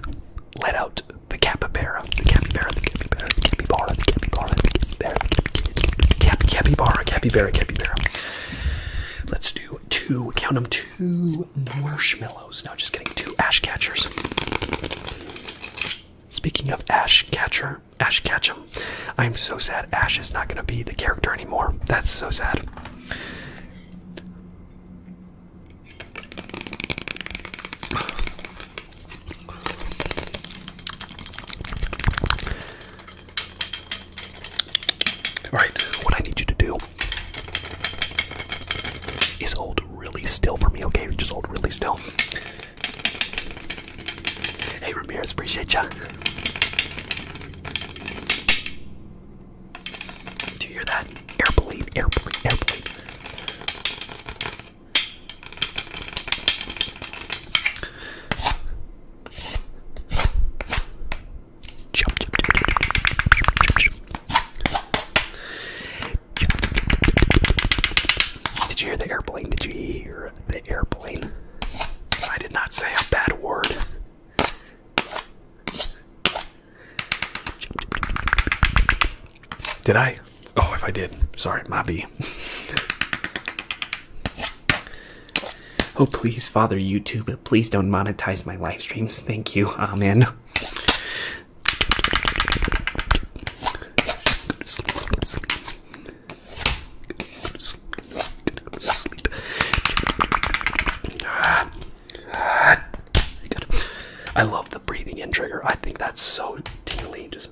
A: let out the capybara, capybara, capybara, capybara, capybara, capybara, capybara, capybara, capybara. Let's do two, count them, two marshmallows. No, just getting two ash catchers. Speaking of ash catcher, Ash Ketchum, I'm so sad Ash is not going to be the character anymore. That's so sad. Alright, what I need you to do is hold really still for me, okay? Just hold really still. Hey Ramirez, appreciate ya. Do you hear that? Airplane, airplane, airplane. Jump, jump, jump, jump, jump, jump. Did you hear the airplane? Did you hear the airplane? I did not say a bad word. Jump, jump, jump, jump, did I? Oh, if I did, sorry, my oh, please, Father YouTube, please don't monetize my live streams. Thank you. Amen. I love the breathing in trigger. I think that's so tingly. Just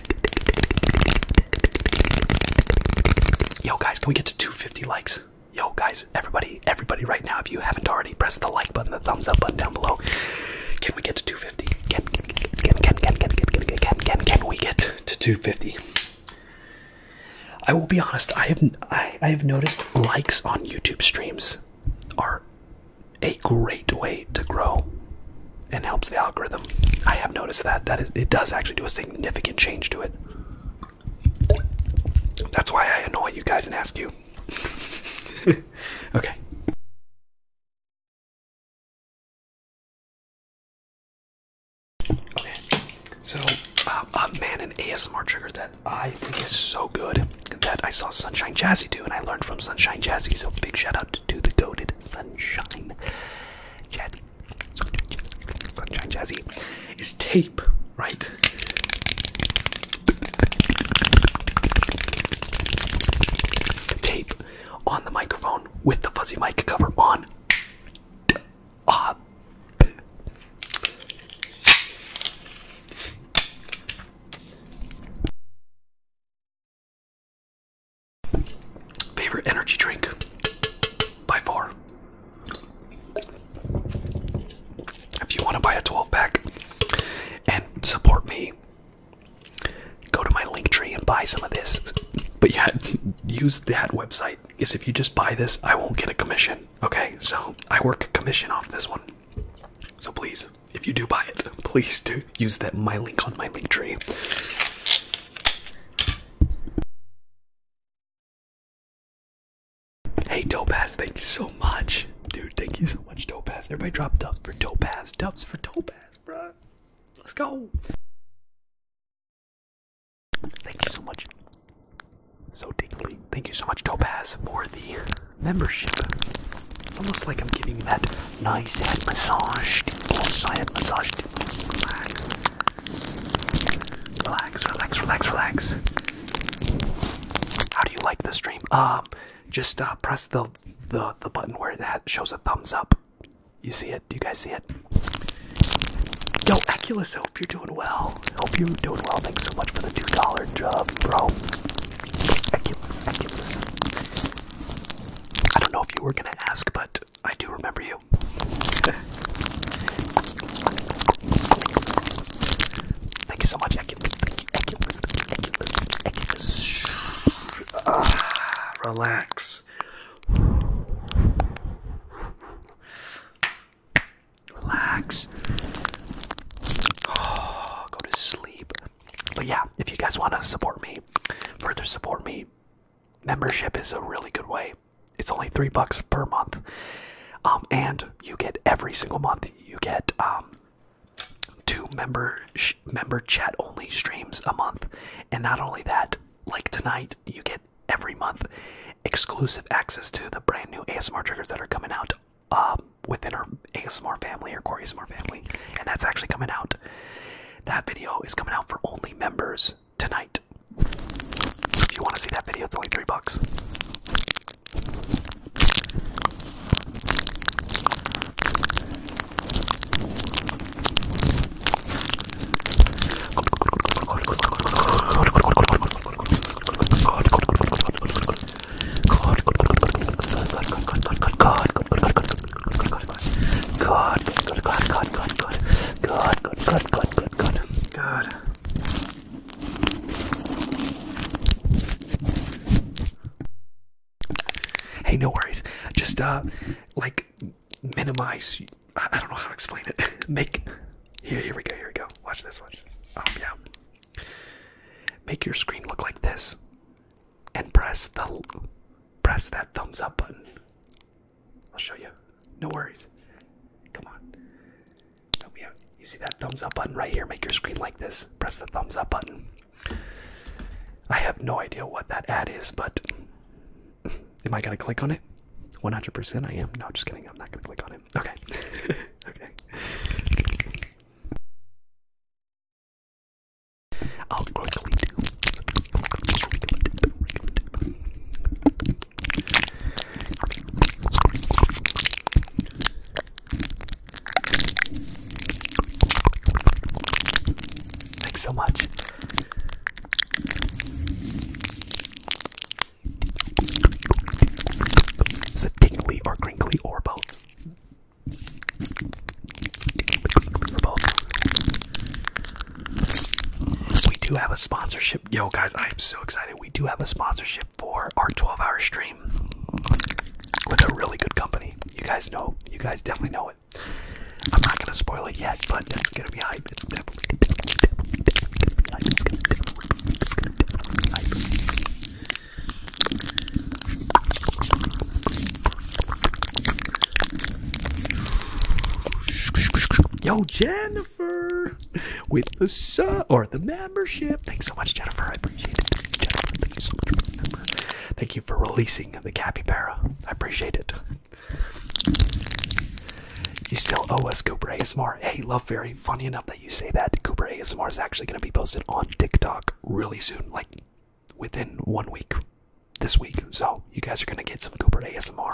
A: Yo, guys, can we get to 250 likes? Yo, guys, everybody, everybody, right now, if you haven't already, press the like button, the thumbs up button down below. Can we get to 250? Can can can can can can can can can can we get to 250? I will be honest. I have I I have noticed likes on YouTube streams are a great way to grow and helps the algorithm. I have noticed that that is it does actually do a significant change to it. That's why I annoy you guys and ask you. [LAUGHS] okay. Okay. So, uh, uh, man, an ASMR trigger that I think is so good that I saw Sunshine Jazzy do, and I learned from Sunshine Jazzy. So, big shout out to the goaded Sunshine. Jazzy, Sunshine Jazzy, is tape, right? Tape on the microphone with the fuzzy mic cover on. Uh, Favorite energy drink by far. If you want to buy a 12 pack and support me, go to my link tree and buy some of this. But yeah, [LAUGHS] use that website. Because if you just buy this, I won't get a commission. Okay, so I work a commission off this one. So please, if you do buy it, [LAUGHS] please do use that my link on my link tree. Hey, Topaz, thank you so much. Dude, thank you so much, Topaz. Everybody drop dubs for Topaz. Dubs for Topaz, bruh. Let's go. Thank you so much. So deeply. Thank you so much, Topaz, for the membership. It's almost like I'm giving that nice head massage, close side head massage. Relax, relax, relax, relax. How do you like the stream? Um, just uh, press the the the button where it shows a thumbs up. You see it? Do you guys see it? Yo, Aculus, hope you're doing well. Hope you're doing well. Thanks so much for the two dollar job, bro. Aculus, Aculus. I don't know if you were gonna ask, but I do remember you. Thank you so much, Thank you, Thank you, relax. Relax. [SIGHS] go to sleep. But yeah, if you guys want to support me, further support me, membership is a really good way. It's only three bucks per month, um, and you get every single month you get um, two member member chat only streams a month, and not only that, like tonight you get every month exclusive access to the brand new ASMR triggers that are coming out um, within our ASMR family or Corey ASMR family, and that's actually coming out. That video is coming out for only members tonight. If you want to see that video, it's only three bucks good, good, good, good, good, good, good, good, good, good, good, good, good. Hey, no worries. Just uh, like minimize. I don't know how to explain it. [LAUGHS] Make here, here we go, here we go. Watch this, one. Oh yeah. Make your screen look like this, and press the press that thumbs up button. I'll show you. No worries. Come on. Help me out. You see that thumbs up button right here? Make your screen like this. Press the thumbs up button. I have no idea what that ad is, but [LAUGHS] am I gonna click on it? 100% I am. No, just kidding. I'm not gonna click on it. Okay. [LAUGHS] okay. I'll quickly do. Thanks so much. It's a tingly or crinkly Or both. We do have a sponsorship. Yo, guys, I am so excited. We do have a sponsorship for our 12 hour stream with a really good company. You guys know, you guys definitely know it. I'm not gonna spoil it yet, but it's gonna be hype. Yo, Jennifer, with the sub or the membership. Thanks so much, Jennifer. I appreciate it. Jennifer, thank you so much for remember. Thank you for releasing the capybara. I appreciate it. You still owe us Cooper ASMR. Hey, love fairy. Funny enough that you say that. Cooper ASMR is actually going to be posted on TikTok really soon, like within one week this week, so you guys are gonna get some Cooper ASMR.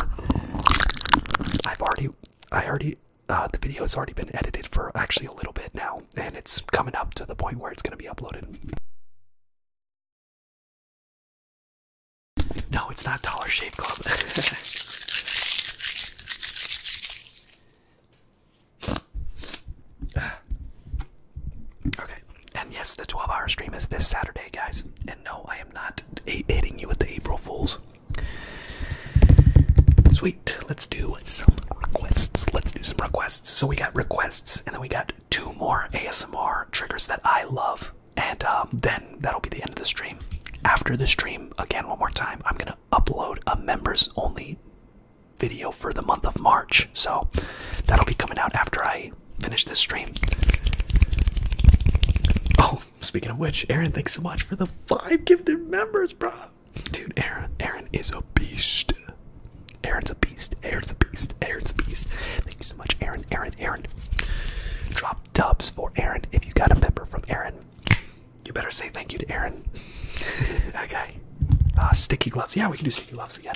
A: I've already, I already, uh, the video has already been edited for actually a little bit now, and it's coming up to the point where it's gonna be uploaded. No, it's not Dollar Shave Club. [LAUGHS] okay. And yes, the 12 hour stream is this Saturday, guys. And no, I am not hitting you with the April Fools. Sweet, let's do some requests. Let's do some requests. So we got requests, and then we got two more ASMR triggers that I love. And um, then that'll be the end of the stream. After the stream, again, one more time, I'm going to upload a members only video for the month of March. So that'll be coming out after I finish this stream. Oh, speaking of which, Aaron, thanks so much for the five gifted members, bro. Dude, Aaron, Aaron is a beast. Aaron's a beast. Aaron's a beast. Aaron's a beast. Thank you so much, Aaron. Aaron. Aaron. Drop dubs for Aaron. If you got a member from Aaron, you better say thank you to Aaron. [LAUGHS] okay. Uh, sticky gloves. Yeah, we can do sticky gloves again.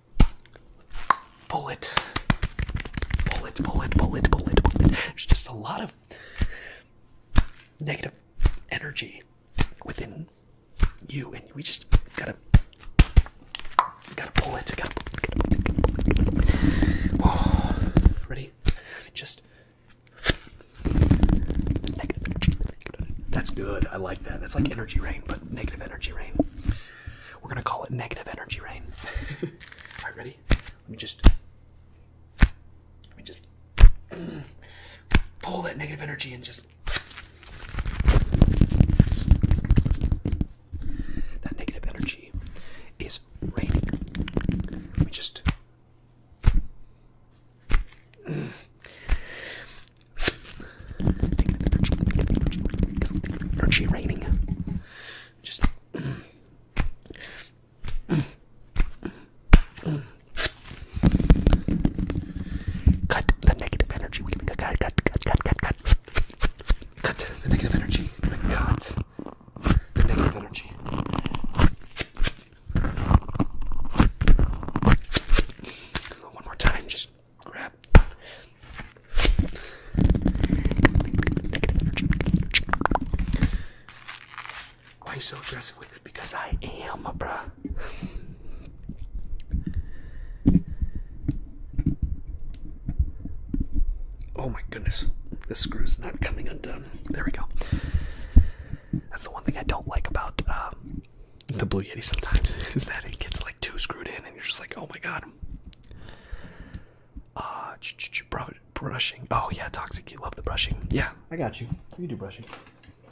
A: pull it, pull it, pull it, pull it, pull it, pull it. There's just a lot of negative energy within you, and we just gotta, gotta pull it. Gotta, gotta pull it, gotta pull it, gotta pull it. Oh, [SIGHS] ready? Just negative energy. That's good. I like that. That's like energy rain, but negative energy rain. We're gonna call it negative energy rain. [LAUGHS] All right, ready? Let me just, let me just pull that negative energy and just. That negative energy is raining. Let me just. [SNIFFS] Negative energy, energy raining. Just. Cut the negative energy. We can cut, cut, cut, cut, cut, cut. Cut the negative energy. Cut the negative energy. One more time. Just. Why are you so aggressive with it? Because I am, bruh. Oh my goodness, this screw's not coming undone. There we go. That's the one thing I don't like about um, the Blue Yeti sometimes [LAUGHS] is that it gets like too screwed in, and you're just like, oh my god, bottom. Uh, brushing. Oh yeah, toxic. You love the brushing. Yeah, I got you. You do brushing.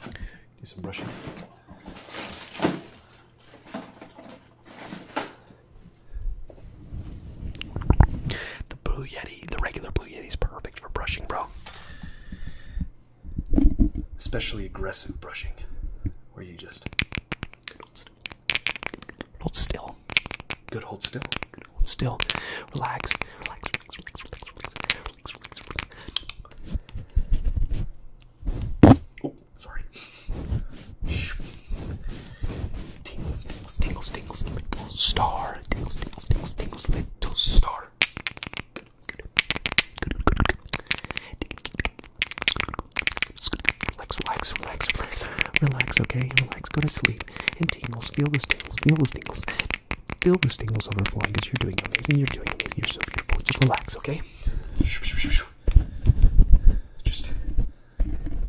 A: Do some brushing. The blue yeti, the regular blue yeti is perfect for brushing, bro. Especially aggressive brushing, where you just Hold still. Good, hold still. Good, hold still. Relax. Relax. Relax. Relax. Relax. Relax. Relax. Relax. relax. Oh, sorry. Shh. Tingles, tingles, tingles, tingles, little star. Tingles, tingles, tingles, tingles, little star. Good, good, good, good, good. Relax, relax, relax, relax, relax, okay? Relax, go to sleep. And tingles, feel those tingles, feel those tingles. Feel those tingles overflowing because you're doing amazing, you're doing amazing, you're so beautiful. Just relax, okay? Just,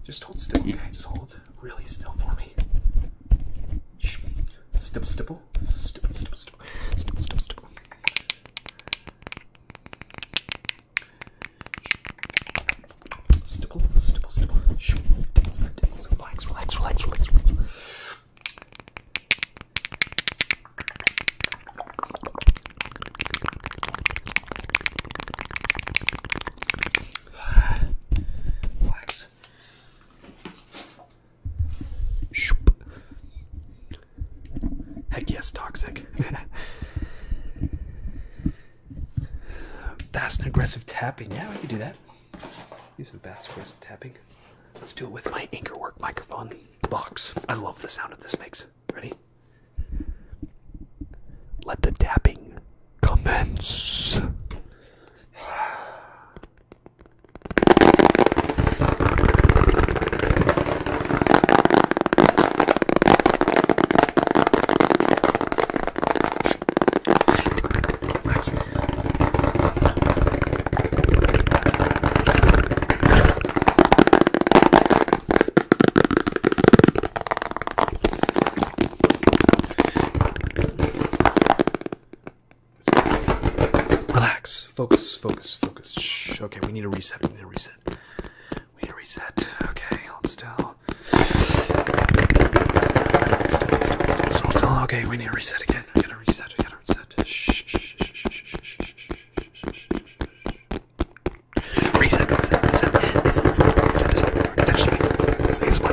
A: just hold still, okay? Just hold really still for me. Stipple, stipple, stipple, stipple, stipple, stipple, stipple. Stipple, stipple, stipple. Shoo. Tickles, tickles. Relax, relax, relax, relax, relax. Relax. Shoop. Heck yes, toxic. [LAUGHS] Fast and aggressive tapping. Yeah, we can do that. Use some fast aggressive tapping. Let's do it with my anchor work microphone box. I love the sound that this makes. Ready? Let the tapping commence. Relax. Relax. Focus. Focus. Focus. Shh. Okay, we need a reset. We need a reset. We need to reset. Okay, hold still. Okay, we need to reset again. We gotta reset. We gotta reset. Shh, shh, shh, shh, shh, shh, shh. Reset, reset, reset. This is for the reset. This is for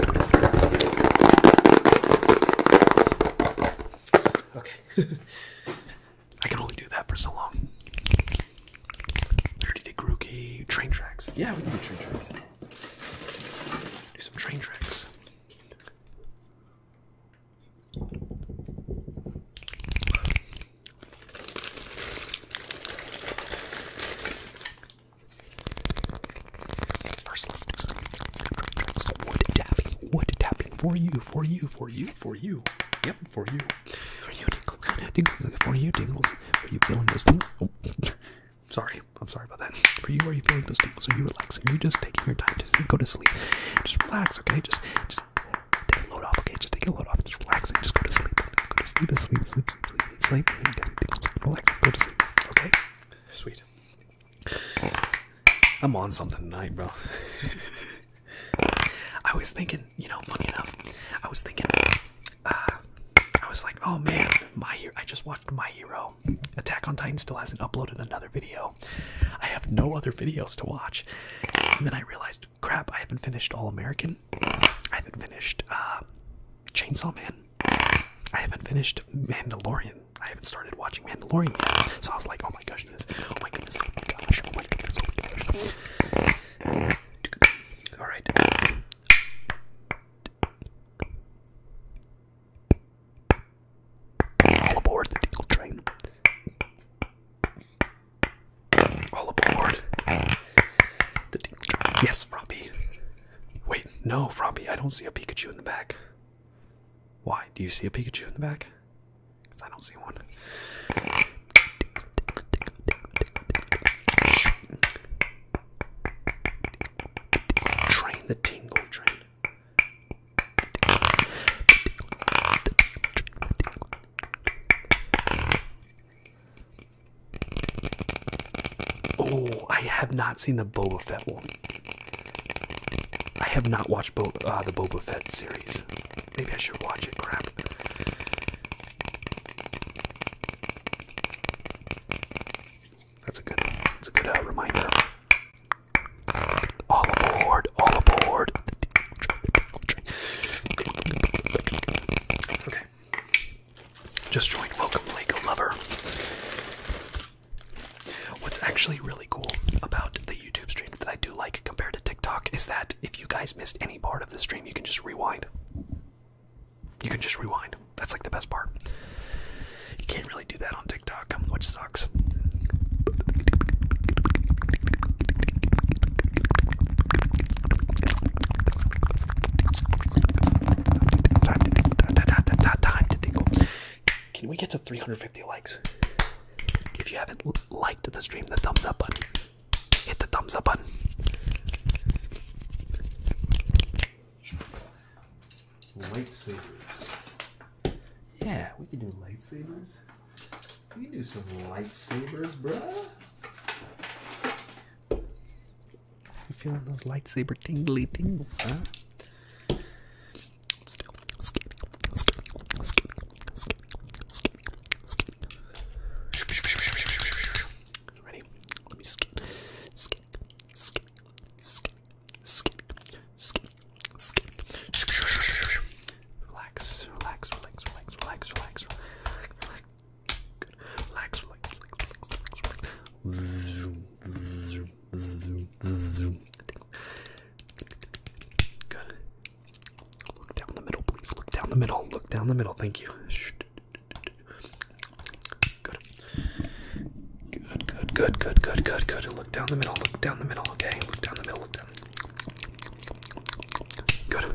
A: the reset. Okay. I can only do that for so long. Dirty Dick Rookie. Train tracks. Yeah, we can do train tracks. Do some train tracks. wood tapping, wood tapping for you, for you, for you, for you. Yep, for you. For you, Dingles. [LAUGHS] Dingles. For you, Dingles. Are you feeling those tingles? Oh. [LAUGHS] sorry. I'm sorry about that. For you, are you feeling those tingles? Are you relaxing? Are you just taking your time? Just go to sleep. Just relax, okay? Just, just take a load off, okay? Just take a load off. Just relax and just go to sleep. Go to sleep, sleep, sleep, sleep, sleep, sleep. sleep. Relax go to sleep, okay? Sweet. I'm on something tonight, bro. [LAUGHS] I was thinking and you know, funny enough, I was thinking, uh, I was like, oh man, my hero. I just watched My Hero. Attack on Titan still hasn't uploaded another video. I have no other videos to watch. And then I realized, crap, I haven't finished All American. I haven't finished uh, Chainsaw Man. I haven't finished Mandalorian. I haven't started watching Mandalorian yet. So I was like, oh my goodness, oh my goodness, oh my gosh, oh my goodness, oh my gosh. All right. All aboard the tickle train. All aboard the tickle train. Yes, Froppy. Wait, no, Froppy, I don't see a Pikachu in the back. Why? Do you see a Pikachu in the back? Because I don't see one. Train the tingle train. Oh, I have not seen the Boba Fett one. I have not watched uh, the Boba Fett series. Maybe I should watch it. Crap. That's a good. That's a good uh, reminder. All aboard! All aboard! Okay. Just joined. Welcome, Lego lover. What's actually really cool about the YouTube streams that I do like compared to TikTok is that if you guys missed any part of the stream, you can just rewind. You can just rewind. That's like the best part. You can't really do that on TikTok, which sucks. Can we get to 350 likes? If you haven't liked the stream, the thumbs up button hit the thumbs up button. Lightsabers. Yeah, we can do lightsabers. We can do some lightsabers, bruh. You feeling those lightsaber tingly tingles, huh? Ready? Let me skin, skin, skin, skin, skin, skin, skin. Relax, relax, relax, relax, relax, relax, relax. Good. Relax, relax, relax, relax, relax. Zoom, zoom, zoom, zoom. Good. Look down the middle, please. Look down the middle. Look down the middle. Thank you. Shh. Good. Good, good, good, good, good, good, good. Look down the middle, look down the middle, okay? Look down the middle, look down. Good.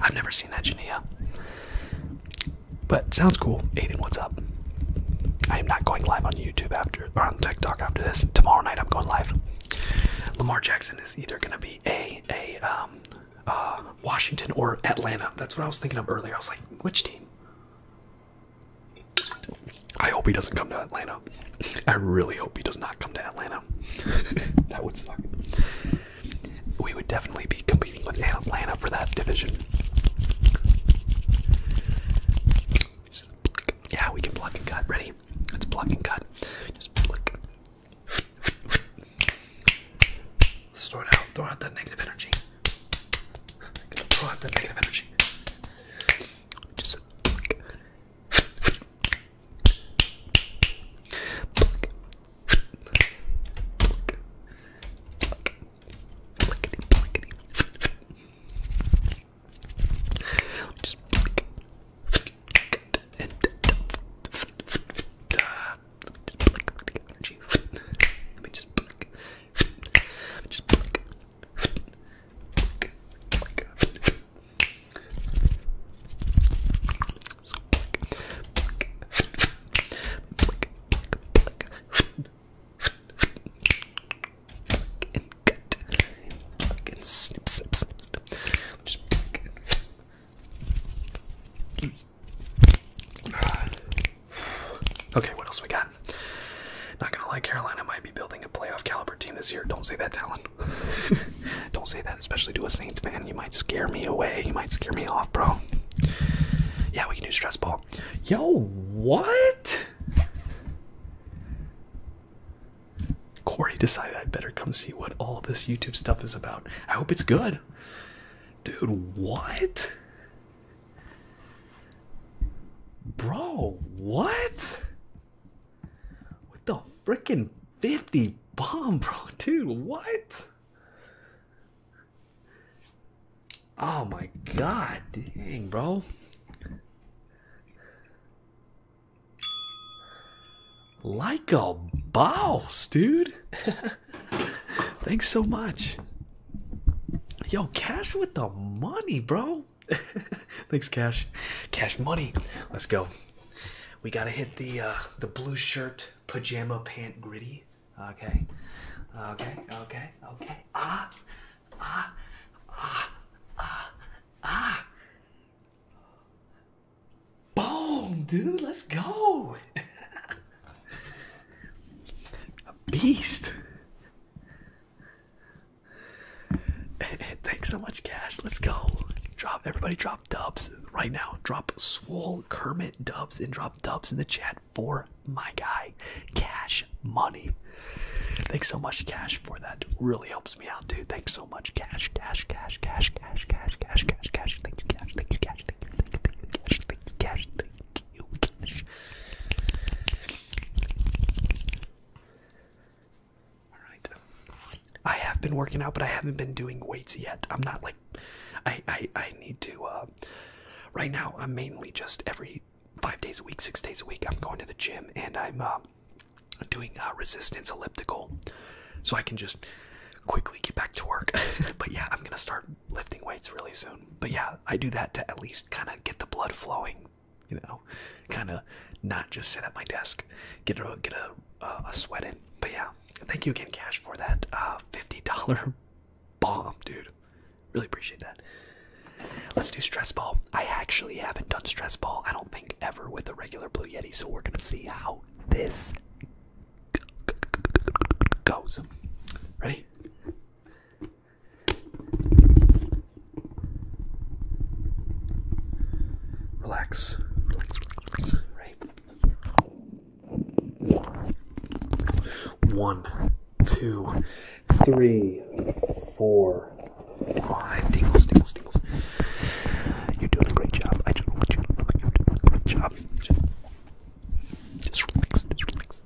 A: I've never seen that Jania. But sounds cool. Aiden, what's up? I am not going live on YouTube after or on TikTok after this. Tomorrow night I'm going live. Lamar Jackson is either gonna be a a um uh Washington or Atlanta. That's what I was thinking of earlier. I was like, which team? I hope he doesn't come to Atlanta. I really hope he does not come to Atlanta. [LAUGHS] that would suck. We would definitely be competing with Atlanta for that division. Yeah, we can block and cut. Ready? Let's pluck and cut. Just block. Let's throw it out. Throw out that negative energy. Throw out that negative energy. Just pluck. Pluck. Pluck. Pluck. Pluckity, pluckity. Just pluck. And uh, just pluck the energy. Let me just pluck. Just pluck. Pluck. Pluck. Okay, what else we got? Not gonna lie, Carolina might be building a playoff caliber team this year. Don't say that, Talon. [LAUGHS] Don't say that, especially to a Saints fan. You might scare me away. You might scare me off, bro. Yeah, we can do stress ball. Yo, what? Corey decided I better come see what all this YouTube stuff is about. I hope it's good. Dude, what? Bro, what? What the freaking 50 bomb, bro, [LAUGHS] dude. What? Oh my god, dang, bro. Like a boss, dude. [LAUGHS] Thanks so much. Yo, cash with the money, bro. [LAUGHS] Thanks, cash. Cash money. Let's go we gotta hit the uh, the blue shirt pajama pant gritty. Okay, okay, okay, okay. Ah, ah, ah, ah, ah. Boom, dude. Let's go. [LAUGHS] A beast. [LAUGHS] Thanks so much, Cash. Let's go. Drop everybody. Drop drop dubs right now. Drop Swool, Kermit dubs, and drop dubs in the chat for my guy, Cash Money. Thanks so much, Cash, for that. Really helps me out, dude. Thanks so much, Cash, Cash, Cash, Cash, Cash, Cash, Cash, Cash, Cash. Thank you, Cash. Thank you, Cash. Thank you, Cash. Thank you, Cash. Thank you, Cash. All I have been working out, but I haven't been doing weights yet. I'm not like, I I need to. Uh, right now, I'm mainly just every five days a week, six days a week. I'm going to the gym and I'm uh, doing uh, resistance elliptical, so I can just quickly get back to work. [LAUGHS] but yeah, I'm gonna start lifting weights really soon. But yeah, I do that to at least kind of get the blood flowing. You know, kind of not just sit at my desk, get a get a, a sweat in. But yeah, thank you again, Cash, for that uh, $50 [LAUGHS] bomb, dude. Really appreciate that. Let's do stress ball. I actually haven't done stress ball, I don't think, ever with a regular Blue Yeti, so we're going to see how this goes. Ready? Relax. relax. Right? One, two, three, four, five. Tingles, tingles, tingles. You're doing a great job. I just want you to know you're doing a great job. Just, just relax, just relax.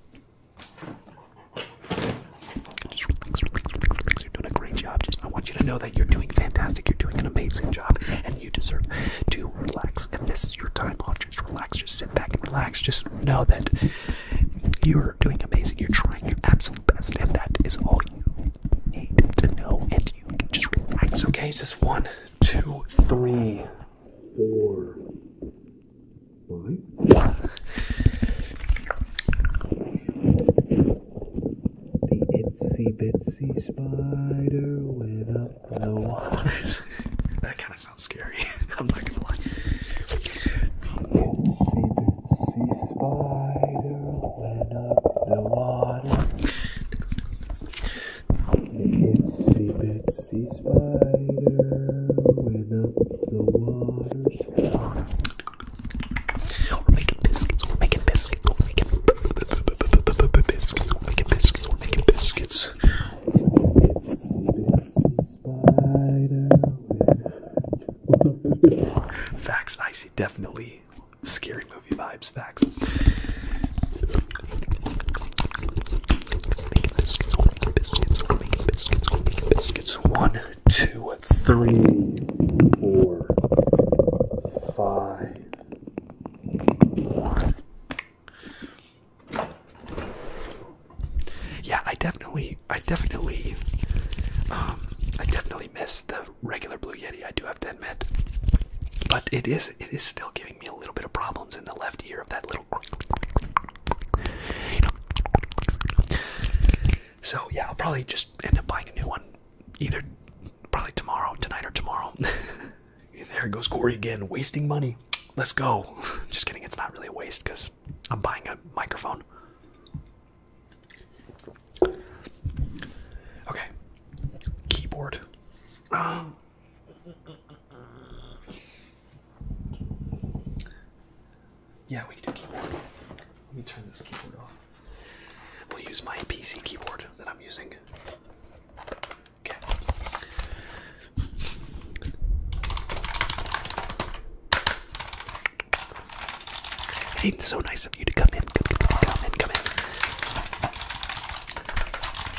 A: Just relax, relax, relax, relax. You're doing a great job. Just I want you to know that you're doing fantastic. You're doing an amazing job. And you deserve to relax. And this is your time off. Just relax. Just sit back and relax. Just know that you're doing amazing. You're trying your absolute best. And that is all you need to know. And you can just relax, okay? Just one, two, three, four, five. The itsy bitsy spider went up the waters. that kind of sounds scary. [LAUGHS] I'm not gonna lie. Itsy bitsy spider went up the water. Itsy bitsy spider went up the water. We're making biscuits. We're making biscuits. We're making biscuits. We're making biscuits. Facts, I see definitely scary movie vibes. Facts. Making biscuits, making biscuits, biscuits, biscuits. One, two, three, four, five. Yeah, I definitely, I definitely, um, I definitely miss the regular Blue Yeti. I do have to admit, but it is, it is still giving me a little bit of problems in the left ear of that little. So yeah, I'll probably just end up buying a new one, either probably tomorrow, tonight or tomorrow. [LAUGHS] There goes Corey again, wasting money. Let's go. [LAUGHS] Just kidding, it's not really a waste because I'm buying a microphone. Okay, keyboard. Um, yeah, we can do keyboard. Let me turn this keyboard off. We'll use my PC keyboard that I'm using. Hey, it's so nice of you to come in. Come, come, come in, come in.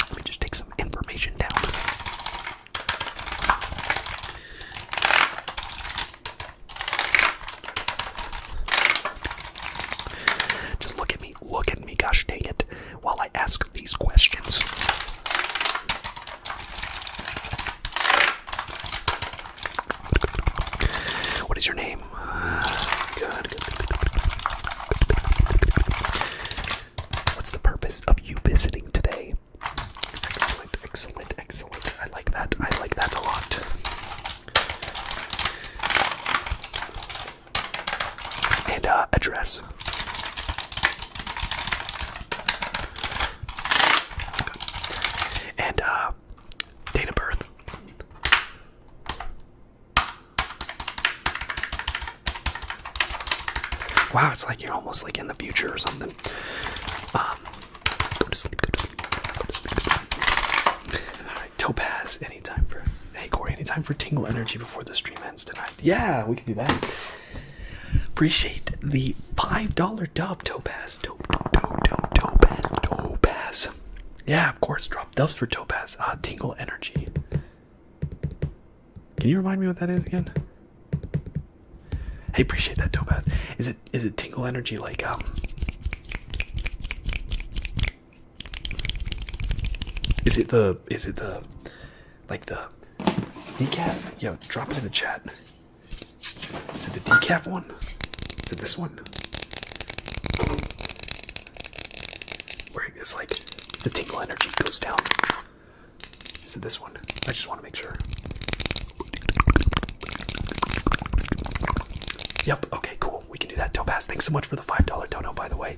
A: Let me just take some information down. Just look at me look at me, gosh dang it, while I ask these questions. What is your name? What's the purpose of you visiting today? Excellent, excellent, excellent. I like that. I like that a lot and uh, address. And uh, date of birth. Wow, it's like you're almost like in the future or something. Um, Topaz, anytime for hey Corey, anytime for Tingle Energy before the stream ends tonight. Yeah, we can do that. Appreciate the five dollar dub, Topaz. Topaz, Yeah, of course. Drop dubs for Topaz. Uh, Tingle Energy. Can you remind me what that is again? I appreciate that, Topaz. Is it is it Tingle Energy like um? Is it the is it the like the decaf? Yo, drop it in the chat. Is it the decaf one? Is it this one? Where it is like the tingle energy goes down. Is it this one? I just want to make sure. Yep, okay, cool. We can do that. Dope ass. thanks so much for the $5 dono, by the way.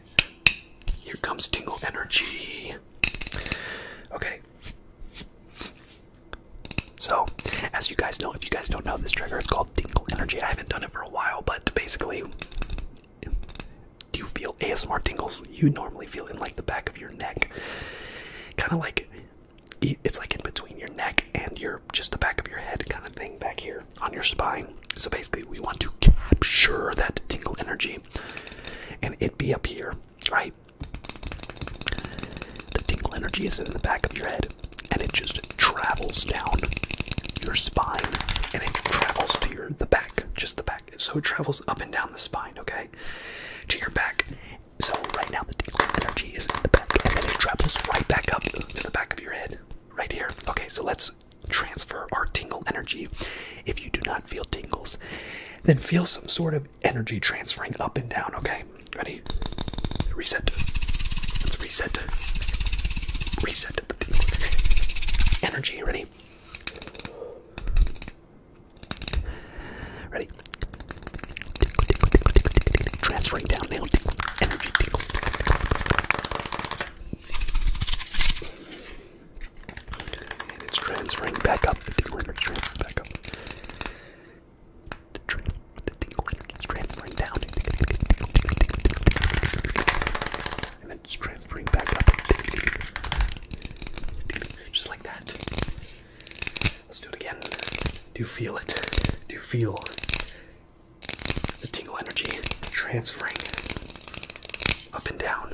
A: Here comes tingle energy. Okay. So, as you guys know, if you guys don't know this trigger, it's called tingle energy. I haven't done it for a while, but basically, do you feel ASMR tingles you normally feel in like the back of your neck? Kind of like it's like in between your neck and your just the back of your head kind of thing back here on your spine. So basically, we want to capture that tingle energy. And it be up here, right? The tingle energy is in the back of your head and it just travels down your spine and it travels to your the back, just the back. So it travels up and down the spine, okay? To your back. So right now the tingle energy is in the back and then it travels right back up to the back of your head. Right here. Okay, so let's transfer our tingle energy. If you do not feel tingles then feel some sort of energy transferring up and down okay ready reset let's reset reset energy ready ready transferring down now energy and it's transferring back up. The tingle energy transfers back up. The, tra the tingle energy is transferring down. And then it's transferring back up. Just like that. Let's do it again. Do you feel it? Do you feel the tingle energy transferring up and down?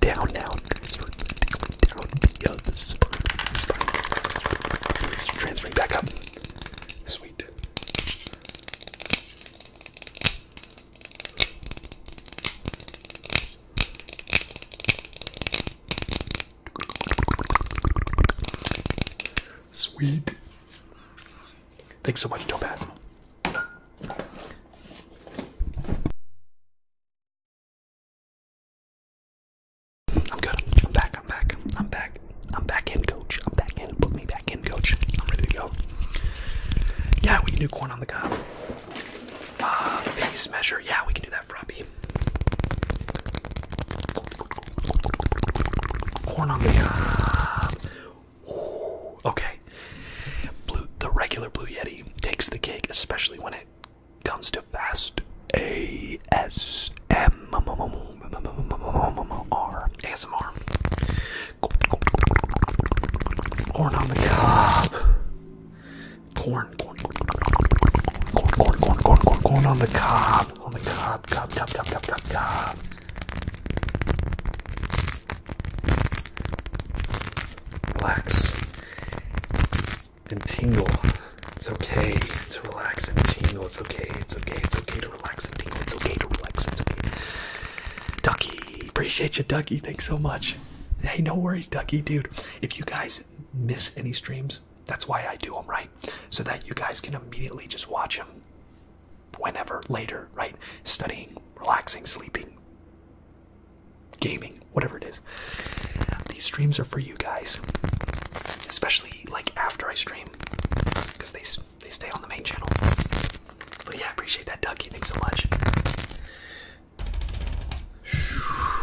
A: down, down, down via the spine, spine. Transferring back up. Sweet. Sweet. Thanks so much, Topaz. I'm good. I'm back. I'm back. I'm back. I'm back in, coach. I'm back in. Put me back in, coach. I'm ready to go. Yeah, we can do corn on the cob. Uh, face measure. Yeah, we can do that, Froppy. Corn on the cob. Ooh, okay, guy. Blue, the regular Blue Yeti takes the cake, especially when it comes to fast ASMR. Corn on the cob. Corn, corn, corn, corn, corn, corn, on the cob. On the cob, cob, cob, cob, cob, cob. Relax and tingle. It's okay to relax and tingle. It's okay. It's okay. It's okay to relax and tingle. It's okay to relax. It's okay. Ducky, appreciate you, Ducky. Thanks so much. Hey, no worries, Ducky, dude. If you guys miss any streams, that's why I do them, right? So that you guys can immediately just watch them whenever later, right? Studying, relaxing, sleeping, gaming, whatever it is. These streams are for you guys, especially like after I stream, because they they stay on the main channel. But yeah, I appreciate that, Ducky. Thanks so much.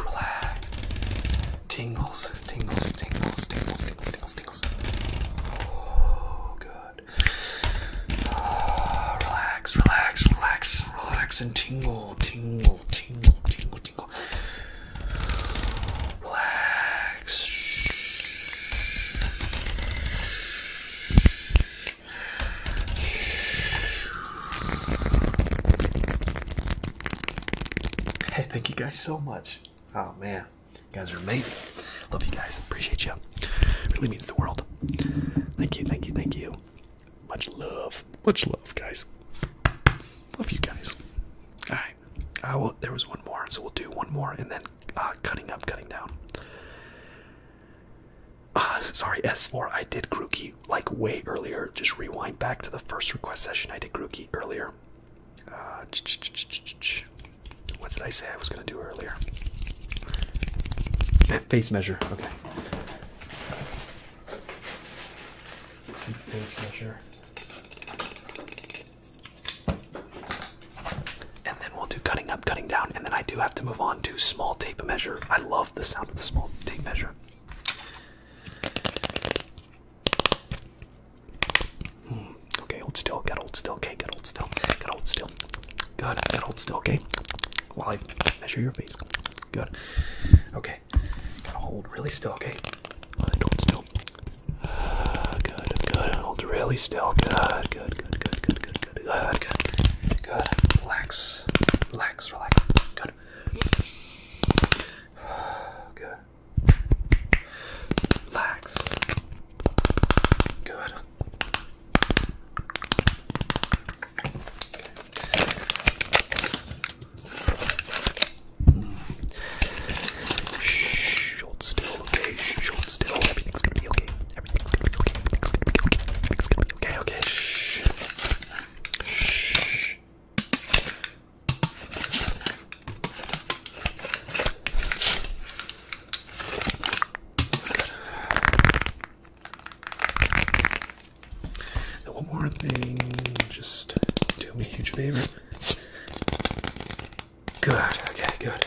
A: Relax. Tingles, tingles, tingles, tingles, tingles, tingles, Oh, good. Ah, relax, relax, relax, relax, and tingle tingle, tingle, tingle, tingle, Relax. Hey, thank you guys so much. Oh man, you guys are amazing. Love you guys. Appreciate you. Really means the world. Thank you, thank you, thank you. Much love. Much love, guys. Love you guys. All right. I will. there was one more, so we'll do one more and then uh, cutting up, cutting down. Uh, [LAUGHS] sorry, S4. I did grooky like way earlier. Just rewind back to the first request session. I did grooky earlier. Uh, what did I say I was going to do earlier? Face measure. Okay. Some face measure. And then we'll do cutting up, cutting down, and then I do have to move on to small tape measure. I love the sound of the small tape measure. Hmm, okay, hold still. Got hold still. Okay, good old still. Got hold still. Good. Got old still. Okay while I measure your face. Good. Okay. Gotta hold really still, okay? Hold still. Uh, good, good. Hold really still. Good, good, good, good, good, good, good, good, good. Good. Relax. Relax, relax. Good. Good. Relax. Good. Shh, hold still, okay? Shh, hold still. Everything's gonna be okay. Everything's gonna be okay. Everything's gonna be okay. Everything's gonna be okay. Okay. Shh. Shh. Good. And one more thing, just do me a huge favor. Good, okay, good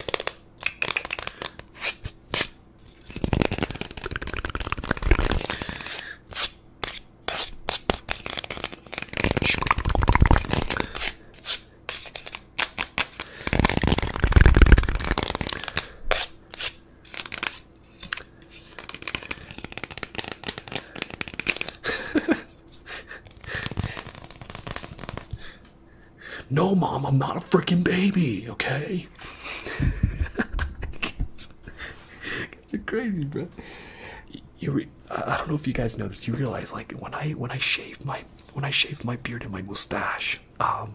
A: no, mom, I'm not a freaking baby, okay? That's kids crazy, bro. You, I don't know if you guys know this. You realize, like, when I when I shave my when I shave my beard and my mustache, um,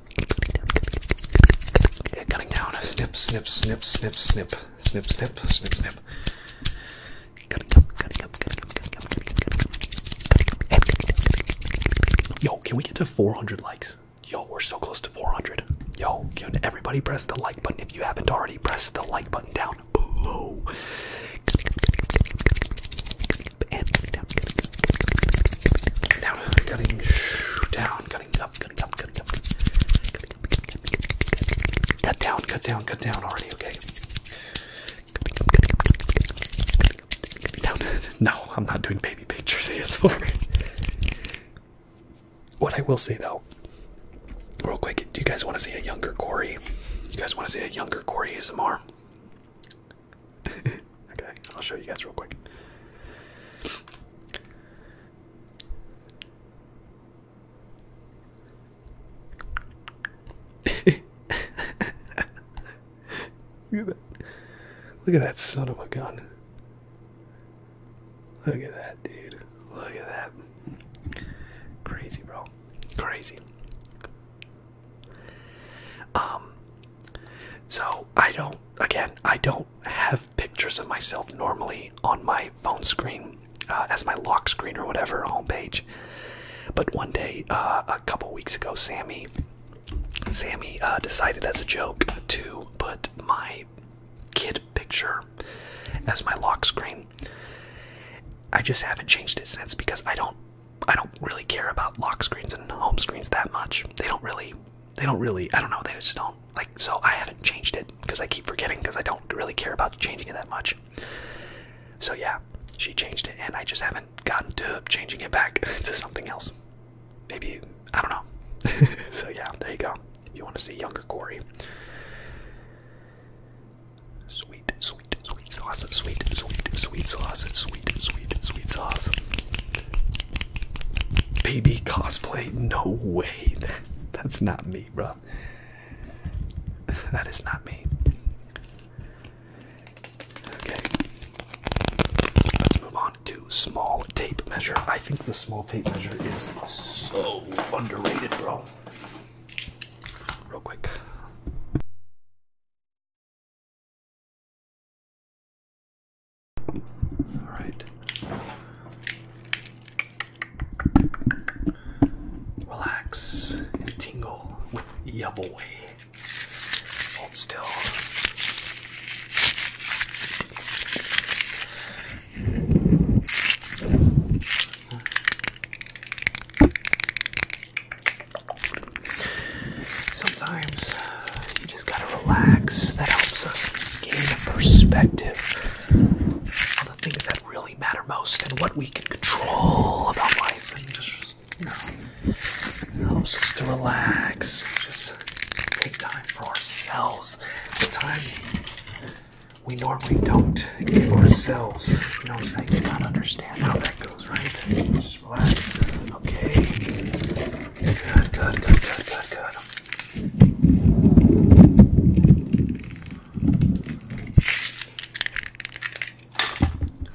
A: cutting down. Snip, snip, snip, snip, snip, snip, snip, snip, snip. Yo, can we get to 400 likes? Yo, we're so close to 400. Yo, can everybody press the like button if you haven't already? Press the like button down below. And cutting down, cutting up, cutting up, cutting up. Cut down, cut down, cut down already, okay? [LAUGHS] No, I'm not doing baby pictures ASMR. What I will say though, real quick, do you guys want to see a younger Corey? You guys want to see a younger Corey ASMR? [LAUGHS] Okay, I'll show you guys real quick. [LAUGHS] Look at that. Look at that son of a gun. Look at that, dude. Look at that. Crazy, bro. Crazy. Um, so I don't, again, I don't have pictures of myself normally on my phone screen uh, as my lock screen or whatever home page. But one day, uh, a couple weeks ago, Sammy, Sammy uh, decided as a joke to put my kid picture as my lock screen. I just haven't changed it since because I don't, I don't really care about lock screens and home screens that much. They don't really they don't really i don't know they just don't like so i haven't changed it because i keep forgetting because i don't really care about changing it that much so yeah she changed it and i just haven't gotten to changing it back [LAUGHS] to something else maybe i don't know [LAUGHS] so yeah there you go if you want to see younger corey sweet sweet sweet sauce sweet sweet sweet sauce sweet sweet sweet sauce baby cosplay no way that's not me bro that is not me okay let's move on to small tape measure i think the small tape measure is so underrated bro real quick all right. Relax tingle with Yubbleway. Hold still. Sometimes you just gotta relax. That helps us gain a perspective on the things that really matter most and what we can control about life. And just, you know, helps us to relax. Just take time for ourselves. The time we normally don't give ourselves. You I'm saying? You gotta understand how that goes, right? Just relax. Okay. Good, good, good, good, good, good.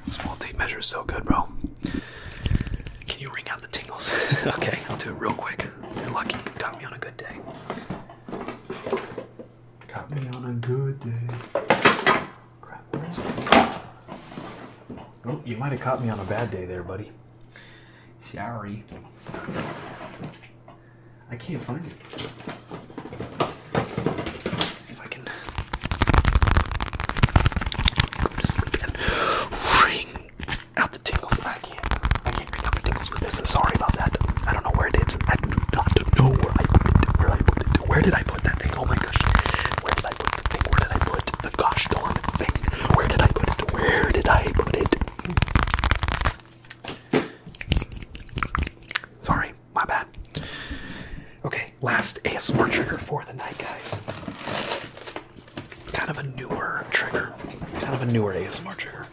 A: Small tape measure is so good, bro. Can you ring out the tingles? [LAUGHS] okay, I'll do it real quick. You're lucky. You me on a good day. Got me on a good day. Crap, Oh, you might have caught me on a bad day there, buddy. Sorry. I can't find it. see if I can go to sleep and wring out the tingles. I can't. I can't wring out the tingles with this. Sorry about that. I don't know where it is. I do not know where I put it. Where I put it. Where did I put that thing? Oh my gosh. Where did I put the thing? Where did I put the gosh darn thing. Where did I put it? Where did I put it? Sorry, my bad. Okay, last ASMR trigger for the night, guys. Kind of a newer trigger. Kind of a newer ASMR trigger.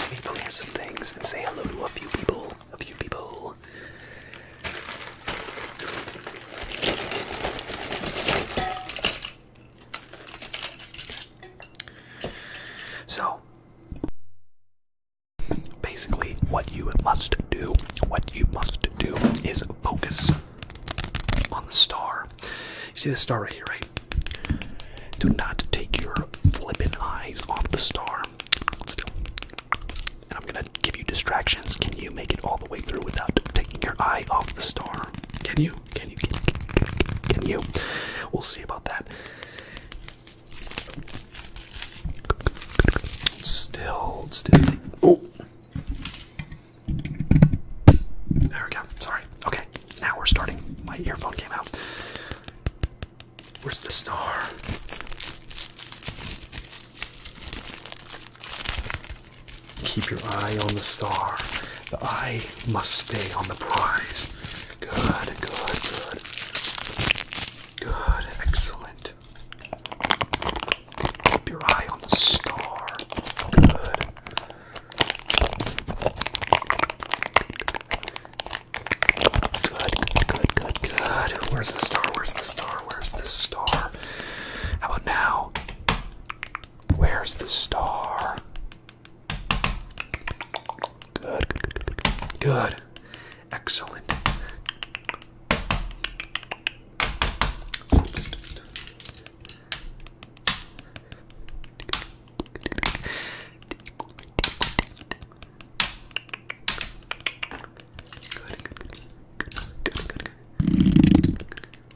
A: Let me clear some things and say hello to a few people. A few people. So, basically, what you must do, what you must do is focus on the star. You see the star right here, right? Do not take your flippin' eyes off the star. Let's do I'm gonna give you distractions. Can you make it all the way through without taking your eye off the star? Can you? Can you? Can, you? We'll see about that. Still, still. oh, there we go. Sorry. Okay, now we're starting. My earphone came out. Where's the star? Keep your eye on the star. The eye must stay on the prize. Good, good, good. Good, excellent. Keep your eye on the star. Good. Good, good, good, good. Where's the star? Where's the star? Where's the star? How about now? Where's the star? Good, good, good, Excellent.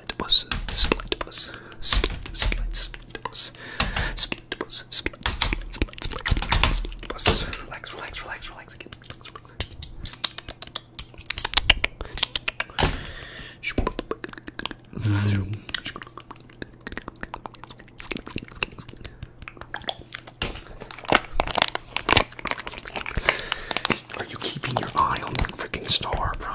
A: split was split was split split split was split was split split split split split split was relax relax relax relax again relax relax Zoom. Are you keeping your eye on the freaking star, bro?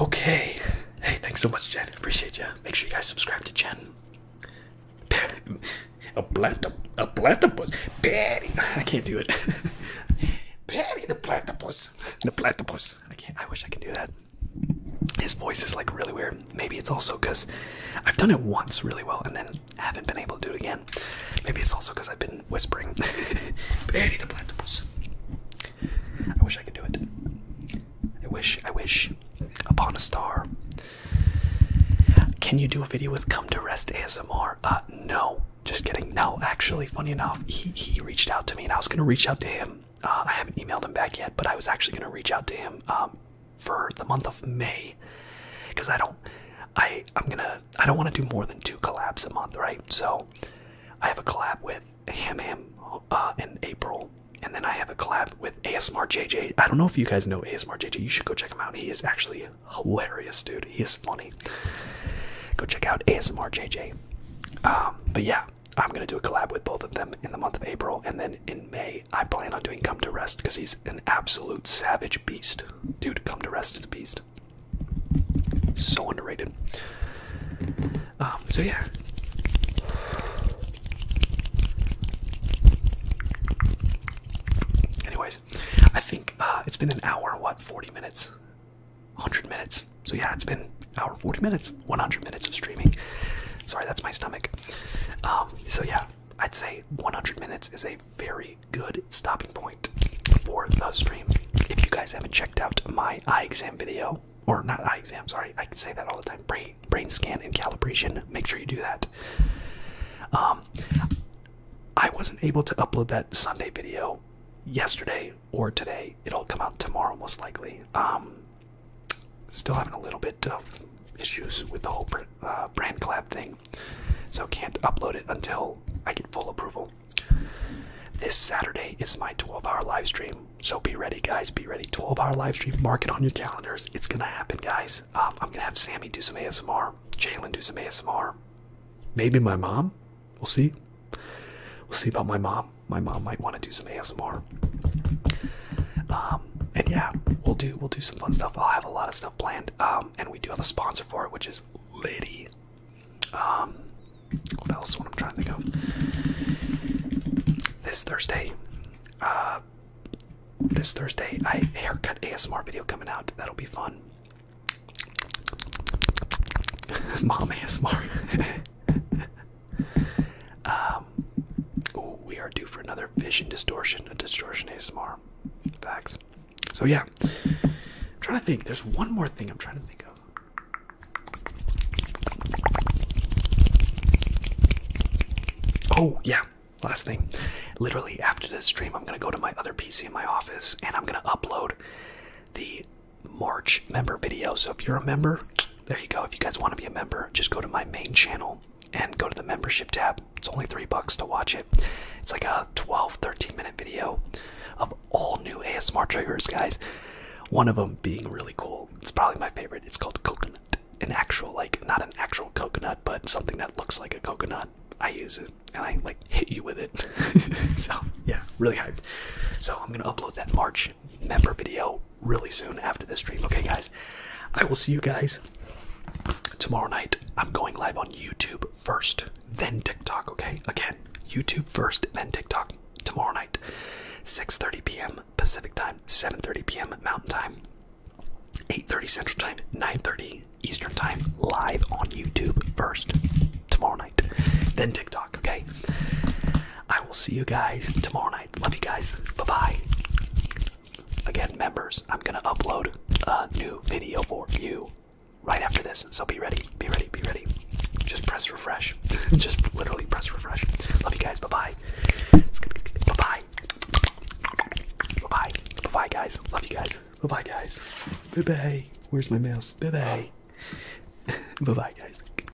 A: Okay. Hey, thanks so much, Jen. Appreciate you. Make sure you guys subscribe to Jen. A platypus. [LAUGHS] I can't do it. [LAUGHS] Patty the platypus. The platypus. I wish I could do that. His voice is like really weird. Maybe it's also because I've done it once really well and then haven't been able to do it again. Maybe it's also because I've been whispering. Betty [LAUGHS] the platypus. I wish I could do it. I wish. I wish. Upon a star. Can you do a video with come to rest ASMR? Uh, no. Just kidding. No, actually, funny enough, he he reached out to me and I was gonna reach out to him uh, I haven't emailed him back yet, but I was actually going to reach out to him um, for the month of May because I don't, I I'm gonna I don't want to do more than two collabs a month, right? So I have a collab with Ham Ham uh, in April, and then I have a collab with ASMR JJ. I don't know if you guys know ASMR JJ. You should go check him out. He is actually hilarious, dude. He is funny. Go check out ASMR JJ. Um, but yeah, I'm gonna do a collab with both of them in the month of April, and then in May I plan on doing Come to Rest because he's an absolute savage beast, dude. Come to Rest is a beast, so underrated. Um, so yeah. Anyways, I think uh, it's been an hour, what, 40 minutes 100 minutes. So yeah, it's been hour 40 minutes, 100 minutes of streaming. Sorry, that's my stomach. Um, so yeah, I'd say 100 minutes is a very good stopping point for the stream. If you guys haven't checked out my eye exam video, or not eye exam, sorry, I can say that all the time, brain, brain scan and calibration, make sure you do that. Um, I wasn't able to upload that Sunday video yesterday or today. It'll come out tomorrow, most likely. Um, still having a little bit of issues with the whole uh, brand collab thing, so can't upload it until I get full approval. This Saturday is my 12-hour live stream, so be ready, guys. Be ready. 12-hour live stream. Mark it on your calendars. It's gonna happen, guys. Um, I'm gonna have Sammy do some ASMR, Jalen do some ASMR, maybe my mom. We'll see. We'll see about my mom. My mom might want to do some ASMR. Um, and yeah, we'll do we'll do some fun stuff. I'll have a lot of stuff planned. Um, and we do have a sponsor for it, which is Liddy. Um, what else? What I'm trying to think This Thursday, uh, this Thursday, I haircut ASMR video coming out. That'll be fun. [LAUGHS] Mom ASMR. [LAUGHS] Um, we are due for another vision distortion, a distortion ASMR. Facts. So yeah, I'm trying to think. There's one more thing I'm trying to think of. Oh yeah, last thing. Literally after this stream, I'm gonna go to my other PC in my office, and I'm gonna upload the March member video. So if you're a member, there you go. If you guys want to be a member, just go to my main channel and go to the membership tab. It's only three bucks to watch it. It's like a 12, 13 minute video of all new ASMR triggers, guys. One of them being really cool. It's probably my favorite. It's called coconut. An actual, like, not an actual coconut, but something that looks like a coconut. I use it and I like hit you with it. [LAUGHS] so yeah, really hyped. So I'm gonna upload that March member video really soon after this stream. Okay, guys, I will see you guys tomorrow night. I'm going live on YouTube first, then TikTok. Okay, again, YouTube first, then TikTok tomorrow night, 6:30 p.m. Pacific time, 7:30 p.m. Mountain time, 8:30 Central time, 9:30 Eastern time. Live on YouTube first tomorrow night, then TikTok. Okay, I will see you guys tomorrow night. Love you guys. Bye bye. Again, members, I'm gonna upload a new video for you right after this. So be ready, be ready, be ready. Just press refresh. [LAUGHS] Just literally press refresh. Love you guys. Bye bye. Bye bye. Bye bye. Bye bye, guys. Love you guys. Bye bye, guys. Bye bye. Where's my mouse? Bye bye. Bye bye, guys.